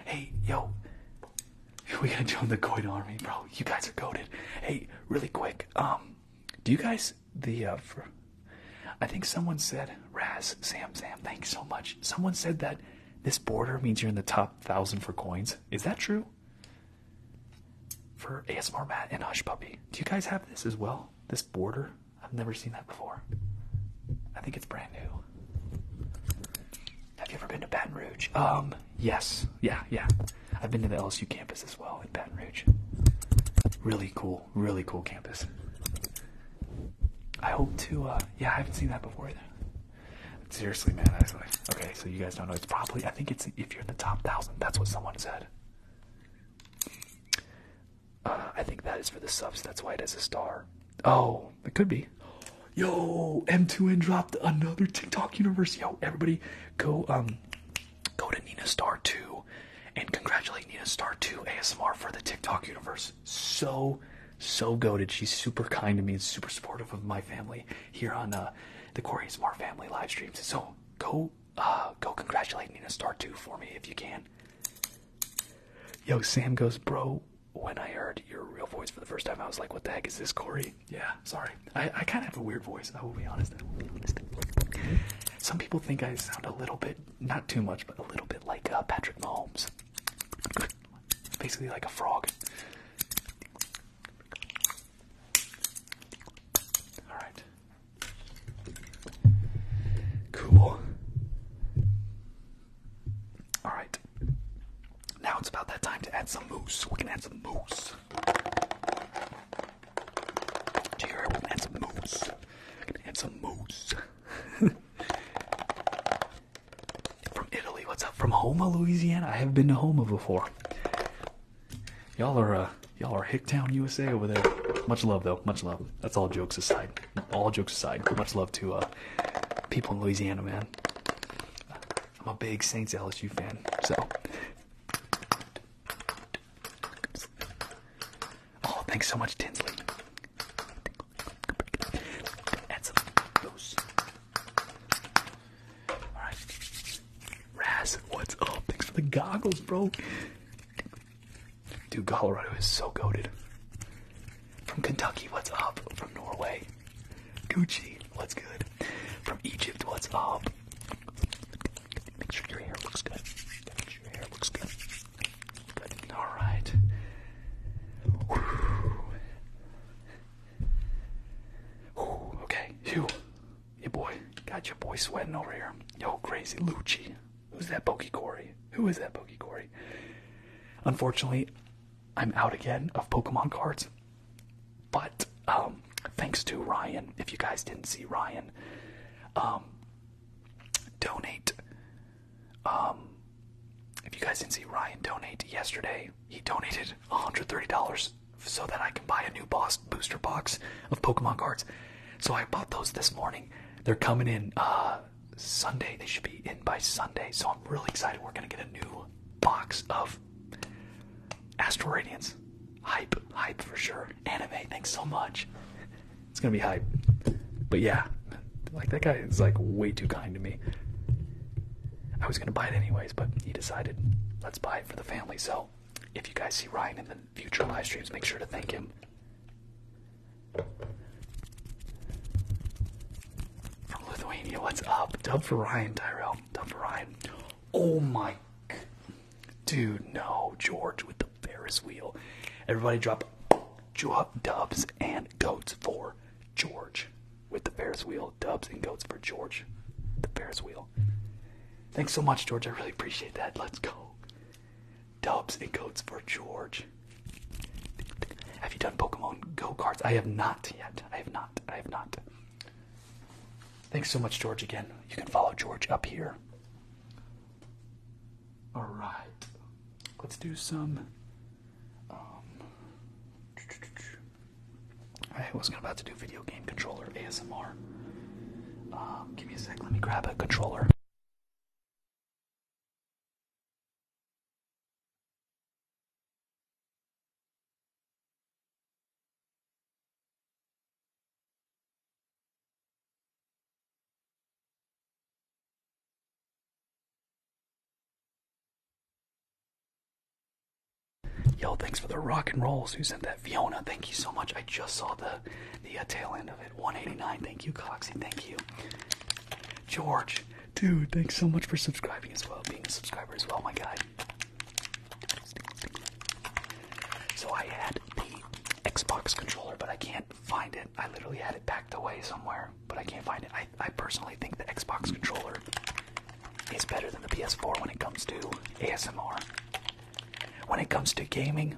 Hey, yo, we gotta join the coin army, bro. You guys are goaded. Hey, really quick, um, do you guys the uh, I think someone said Raz Sam Sam. Thanks so much. Someone said that this border means you're in the top thousand for coins. Is that true? For ASMR Matt and Hush Puppy, do you guys have this as well? This border? I've never seen that before. I think it's brand new. Have you ever been to Baton Rouge? Um, yes. Yeah, yeah. I've been to the LSU campus as well in Baton Rouge. Really cool, really cool campus. I hope to, uh, yeah, I haven't seen that before either. Seriously, man, okay, so you guys don't know. It's probably, I think it's if you're in the top thousand, that's what someone said. Uh, I think that is for the subs. That's why it has a star. Oh, it could be. Yo, M2N dropped another TikTok universe. Yo, everybody, go um, go to Nina Star Two, and congratulate Nina Star Two ASMR for the TikTok universe. So, so goaded. She's super kind to me and super supportive of my family here on uh, the Corey's Smart family live streams. So go uh, go congratulate Nina Star 2 for me if you can. Yo, Sam goes, bro, when I heard your real voice for the first time, I was like, what the heck is this, Corey? Yeah, sorry. I, I kind of have a weird voice, I will be honest. Some people think I sound a little bit, not too much, but a little bit like uh, Patrick Mahomes. Basically like a frog. Alright, Cool. Alright. Now it's about that time to add some moose. We can add some moose. Do you hear it? We can add some mousse. We can add some mousse. from Italy. What's up? From Houma, Louisiana. I have been to Houma before. Y'all are uh, y'all are Hicktown, USA over there. Much love though, much love. That's all jokes aside. All jokes aside. Much love to uh, people in Louisiana, man. I'm a big Saints LSU fan, so. Oh, thanks so much, Tinsley. All right, Raz, what's up? Thanks for the goggles, bro. Dude, Colorado is so goaded. From Kentucky, what's up? From Norway, Gucci, what's good? From Egypt, what's up? Make sure your hair looks good. your hair looks good. All right. Okay. Phew. Your boy, got your boy sweating over here. Yo, crazy Lucci. Who's that Pokey Corey? Who is that Pokey Corey? Unfortunately, I'm out again of Pokemon cards. But um, thanks to Ryan, if you guys didn't see Ryan, um, donate. Um, if you guys didn't see Ryan donate yesterday, he donated $130 so that I can buy a new boss booster box of Pokemon cards. So I bought those this morning. They're coming in uh, Sunday. They should be in by Sunday. So I'm really excited. We're going to get a new box of Astral Radiance. Hype. Hype for sure. Anime, thanks so much. It's going to be hype. But yeah, like that guy is like way too kind to me. I was going to buy it anyways, but he decided let's buy it for the family. So if you guys see Ryan in the future live streams, make sure to thank him. From Lithuania, what's up? Dub for Ryan, Tyrell. Dub for Ryan. Oh my. Dude, no. George with the Ferris wheel. Everybody drop, drop dubs and goats for George with the Ferris wheel. Dubs and goats for George, the Ferris wheel. Thanks so much, George. I really appreciate that. Let's go. Dubs and goats for George. Have you done Pokemon Go cards? I have not yet. I have not. I have not. Thanks so much, George, again. You can follow George up here. All right. Let's do some. Um, I wasn't about to do video game controller ASMR. Uh, give me a sec. Let me grab a controller. Yo, thanks for the rock and rolls. Who sent that? Fiona, thank you so much. I just saw the the uh, tail end of it. 189. Thank you, Coxie. Thank you, George. Dude, thanks so much for subscribing as well, being a subscriber as well, my guy. So I had the Xbox controller, but I can't find it. I literally had it packed away somewhere, but I can't find it. I personally think the Xbox controller is better than the PS4 when it comes to ASMR. When it comes to gaming,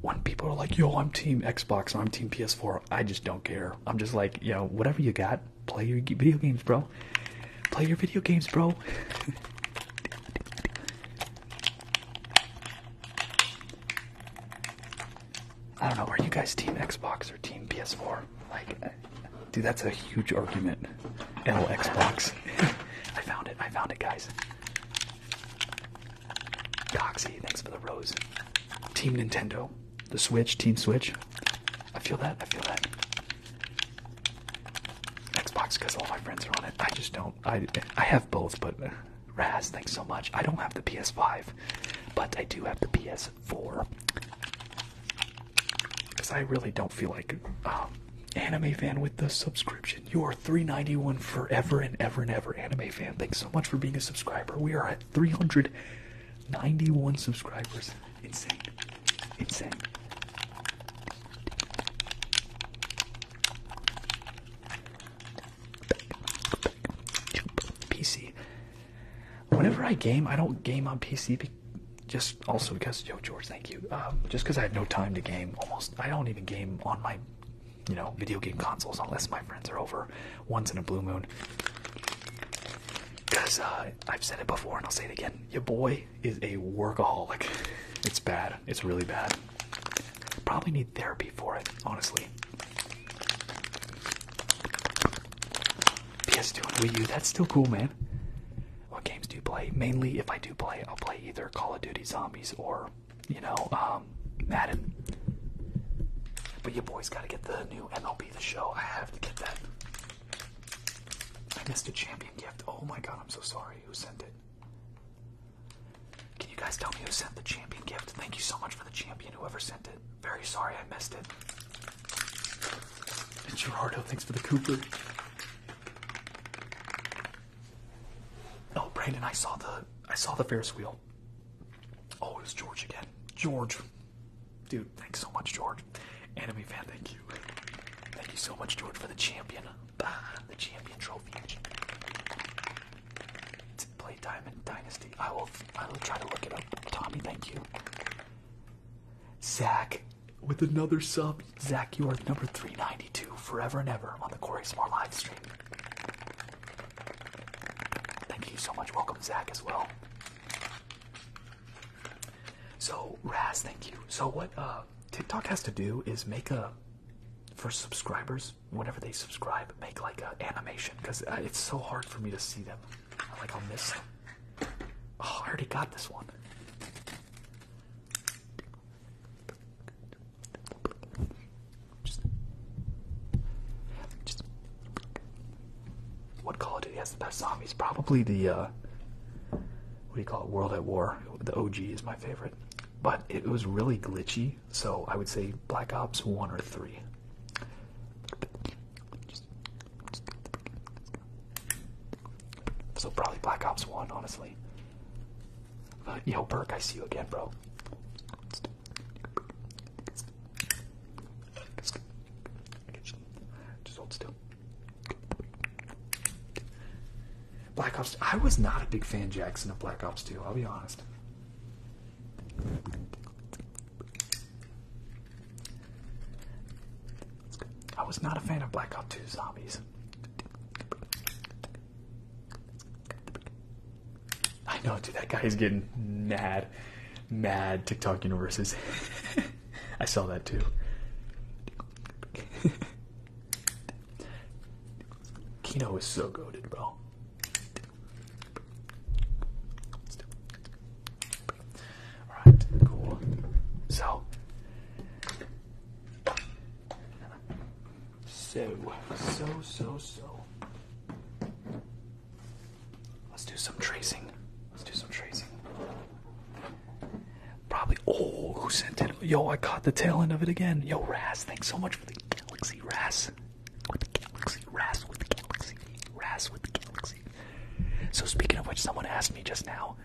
when people are like, yo, I'm team Xbox or I'm team PS4, I just don't care. I'm just like, yo, whatever you got, play your video games, bro. Play your video games, bro. I don't know, are you guys team Xbox or team PS4? Like, uh, dude, that's a huge argument. L Xbox. I found it, I found it, guys. Coxie, thanks for the rose. Team Nintendo. The Switch, Team Switch. I feel that, I feel that. Xbox, because all my friends are on it. I just don't. I, I have both, but uh, Raz, thanks so much. I don't have the PS5, but I do have the PS4. Because I really don't feel like um, Anime fan with the subscription. You are 391 forever and ever and ever, anime fan. Thanks so much for being a subscriber. We are at 391 subscribers. Insane. Insane. PC. Whenever I game, I don't game on PC. just also because, yo, George, thank you. Um, just because I have no time to game. Almost, I don't even game on my you know, video game consoles unless my friends are over once in a blue moon. Because uh, I've said it before and I'll say it again. Your boy is a workaholic. It's bad. It's really bad. Probably need therapy for it, honestly. PS2 and Wii U, that's still cool, man. What games do you play? Mainly, if I do play, I'll play either Call of Duty Zombies or you know, um, Madden. But your boys got to get the new MLB The Show. I have to get that. I missed a champion gift. Oh my god, I'm so sorry. Who sent it? Can you guys tell me who sent the champion gift? Thank you so much for the champion, whoever sent it. Very sorry I missed it. And Gerardo, thanks for the Cooper. Oh, Brandon, I saw the I saw the Ferris wheel. Oh, it was George again. George, dude, thanks so much, George. Enemy fan, thank you. Thank you so much, George, for the champion. Bah, the champion trophy. To play Diamond Dynasty. I will. I will try to look it up. Tommy, thank you. Zach, with another sub. Zach, you are number 392 forever and ever on the Corey Smart live stream. Thank you so much. Welcome, Zach, as well. So, Raz, thank you. So, what uh, TikTok has to do is make a, for subscribers, whenever they subscribe, make like an animation because it's so hard for me to see them. I'm like, I'll miss them. Oh, I already got this one. What Call of Duty has the best zombies? Probably the uh, what do you call it? World at War. The OG is my favorite, but it was really glitchy. So I would say Black Ops One or Three. So probably Black Ops One, honestly. Uh, yo, Burke, I see you again, bro. Just hold still. Black Ops. I was not a big fan, Jackson, of Black Ops 2. I'll be honest. I was not a fan of Black Ops 2 zombies. I know, dude. That guy is getting mad, mad TikTok universes. I saw that too. Kino is so goaded, bro. Alright, cool. So, so, so, so, so. Let's do some tracing. Let's do some tracing. Probably. Oh, who sent it? Yo, I caught the tail end of it again. Yo, Ras, thanks so much for the galaxy, Ras. With the galaxy, Ras. with the galaxy, Raz with the galaxy. So, speaking of which, someone asked me just now,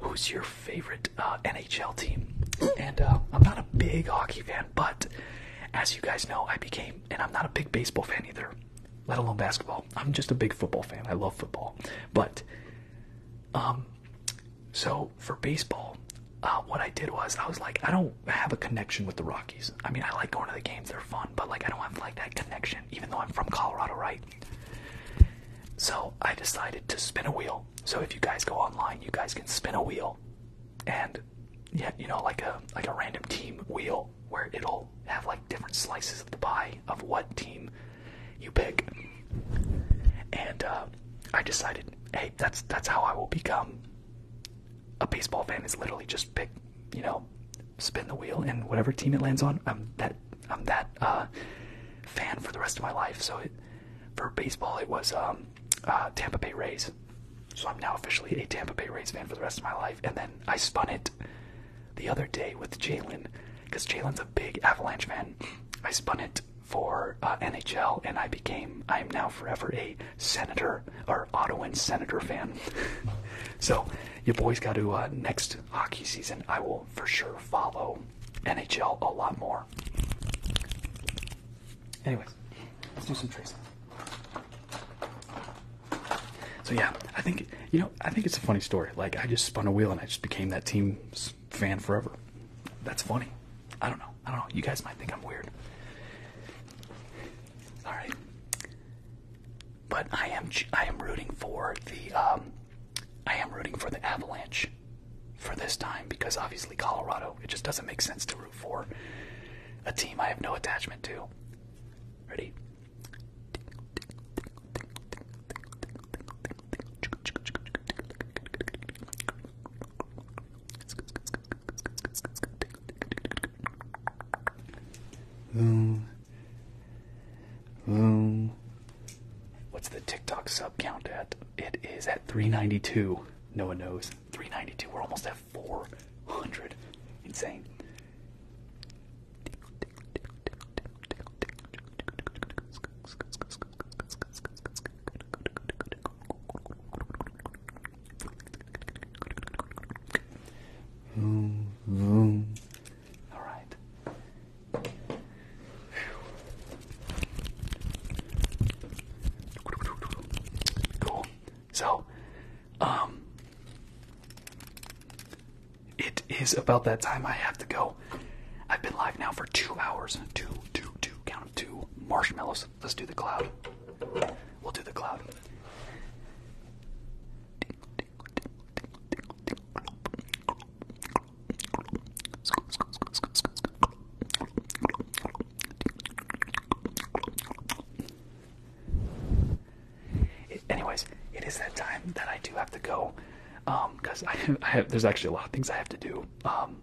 who's your favorite uh, NHL team. And uh, I'm not a big hockey fan, but as you guys know, I became, and I'm not a big baseball fan either, let alone basketball. I'm just a big football fan. I love football. But, um, so for baseball, uh, what I did was I was like, I don't have a connection with the Rockies. I mean, I like going to the games; they're fun, but like, I don't have like that connection, even though I'm from Colorado, right? So I decided to spin a wheel. So if you guys go online, you guys can spin a wheel and yeah, you know, like a like a random team wheel where it'll have like different slices of the pie of what team you pick. And uh, I decided, hey, that's that's how I will become a baseball fan. Is literally just pick, you know, spin the wheel, and whatever team it lands on, I'm that I'm that uh, fan for the rest of my life. So it, for baseball, it was um, uh, Tampa Bay Rays. So I'm now officially a Tampa Bay Rays fan for the rest of my life. And then I spun it the other day with Jalen, because Jalen's a big Avalanche fan. I spun it for uh, NHL, and I became I am now forever a Senator or Ottawa Senator fan. so you boys got to uh, next hockey season. I will for sure follow NHL a lot more. Anyways, let's do some tracing. So yeah, I think you know I think it's a funny story. Like I just spun a wheel and I just became that team's fan forever. That's funny. I don't know. I don't know. You guys might think I'm weird. All right, but I am I am rooting for the um, I am rooting for the Avalanche for this time because obviously Colorado, it just doesn't make sense to root for a team I have no attachment to. Ready? Boom. Boom. What's the TikTok sub count at? It is at 392. No one knows. 392. We're almost at 400. Insane.
Vroom, All right.
Cool. So, um, it is about that time I have to go. I've been live now for two hours. Two, two, two, count of two. Marshmallows. Let's do the cloud. We'll do the cloud anyways, it is that time that I do have to go, because um, I, have there's actually a lot of things I have to do, um,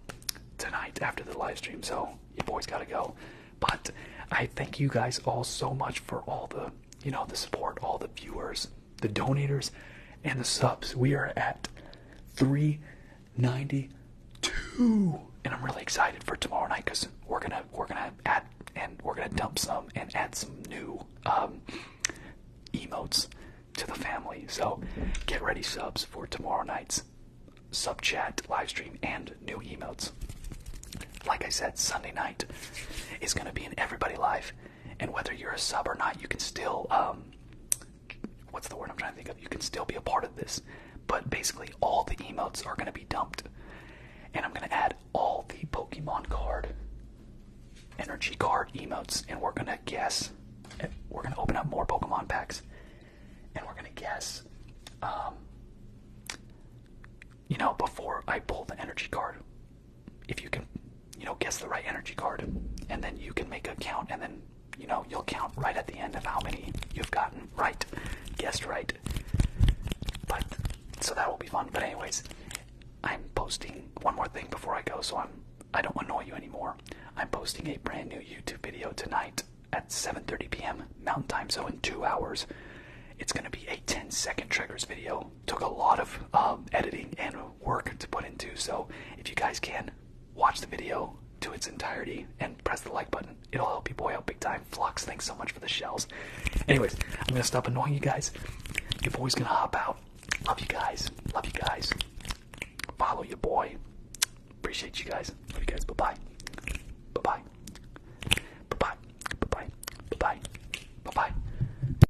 tonight after the live stream. So you boys gotta go. But I thank you guys all so much for all the you know the support, all the viewers, the donators, and the subs. We are at three 92.
And I'm really excited for tomorrow night because we're gonna we're gonna add and we're gonna dump some and
add some new um, emotes to the family. So get ready, subs, for tomorrow night's sub chat live stream and new emotes. Like I said, Sunday night is gonna be an everybody live, and whether you're a sub or not, you can still um, what's the word I'm trying to think of? You can still be a part of this, but basically all the emotes are gonna be dumped, and I'm gonna add all the Pokemon card, energy card emotes, and we're gonna guess. We're gonna open up more Pokemon packs, and we're gonna guess. Um, you know, before I pull the energy card, if you can, you know, guess the right energy card, and then you can make a count, and then you know, you'll count right at the end of how many you've gotten right, guessed right. But so that will be fun. But anyways, I'm posting one more thing before I go, so I'm I don't annoy you anymore. I'm posting a brand new YouTube video tonight at 7:30 p.m. Mountain Time, so in two hours. It's gonna be a 10 second triggers video. Took a lot of um, editing and work to put into, so if you guys can, watch the video to its entirety and press the like button. It'll help you boy out big time. Flux, thanks so much for the shells. Anyways, I'm gonna stop annoying you guys. Your boy's gonna hop out. Love you guys. Love you guys. Follow your boy. Appreciate you guys. Love you guys. Bye bye. Bye bye. Bye bye. Bye bye. Bye bye. Bye bye.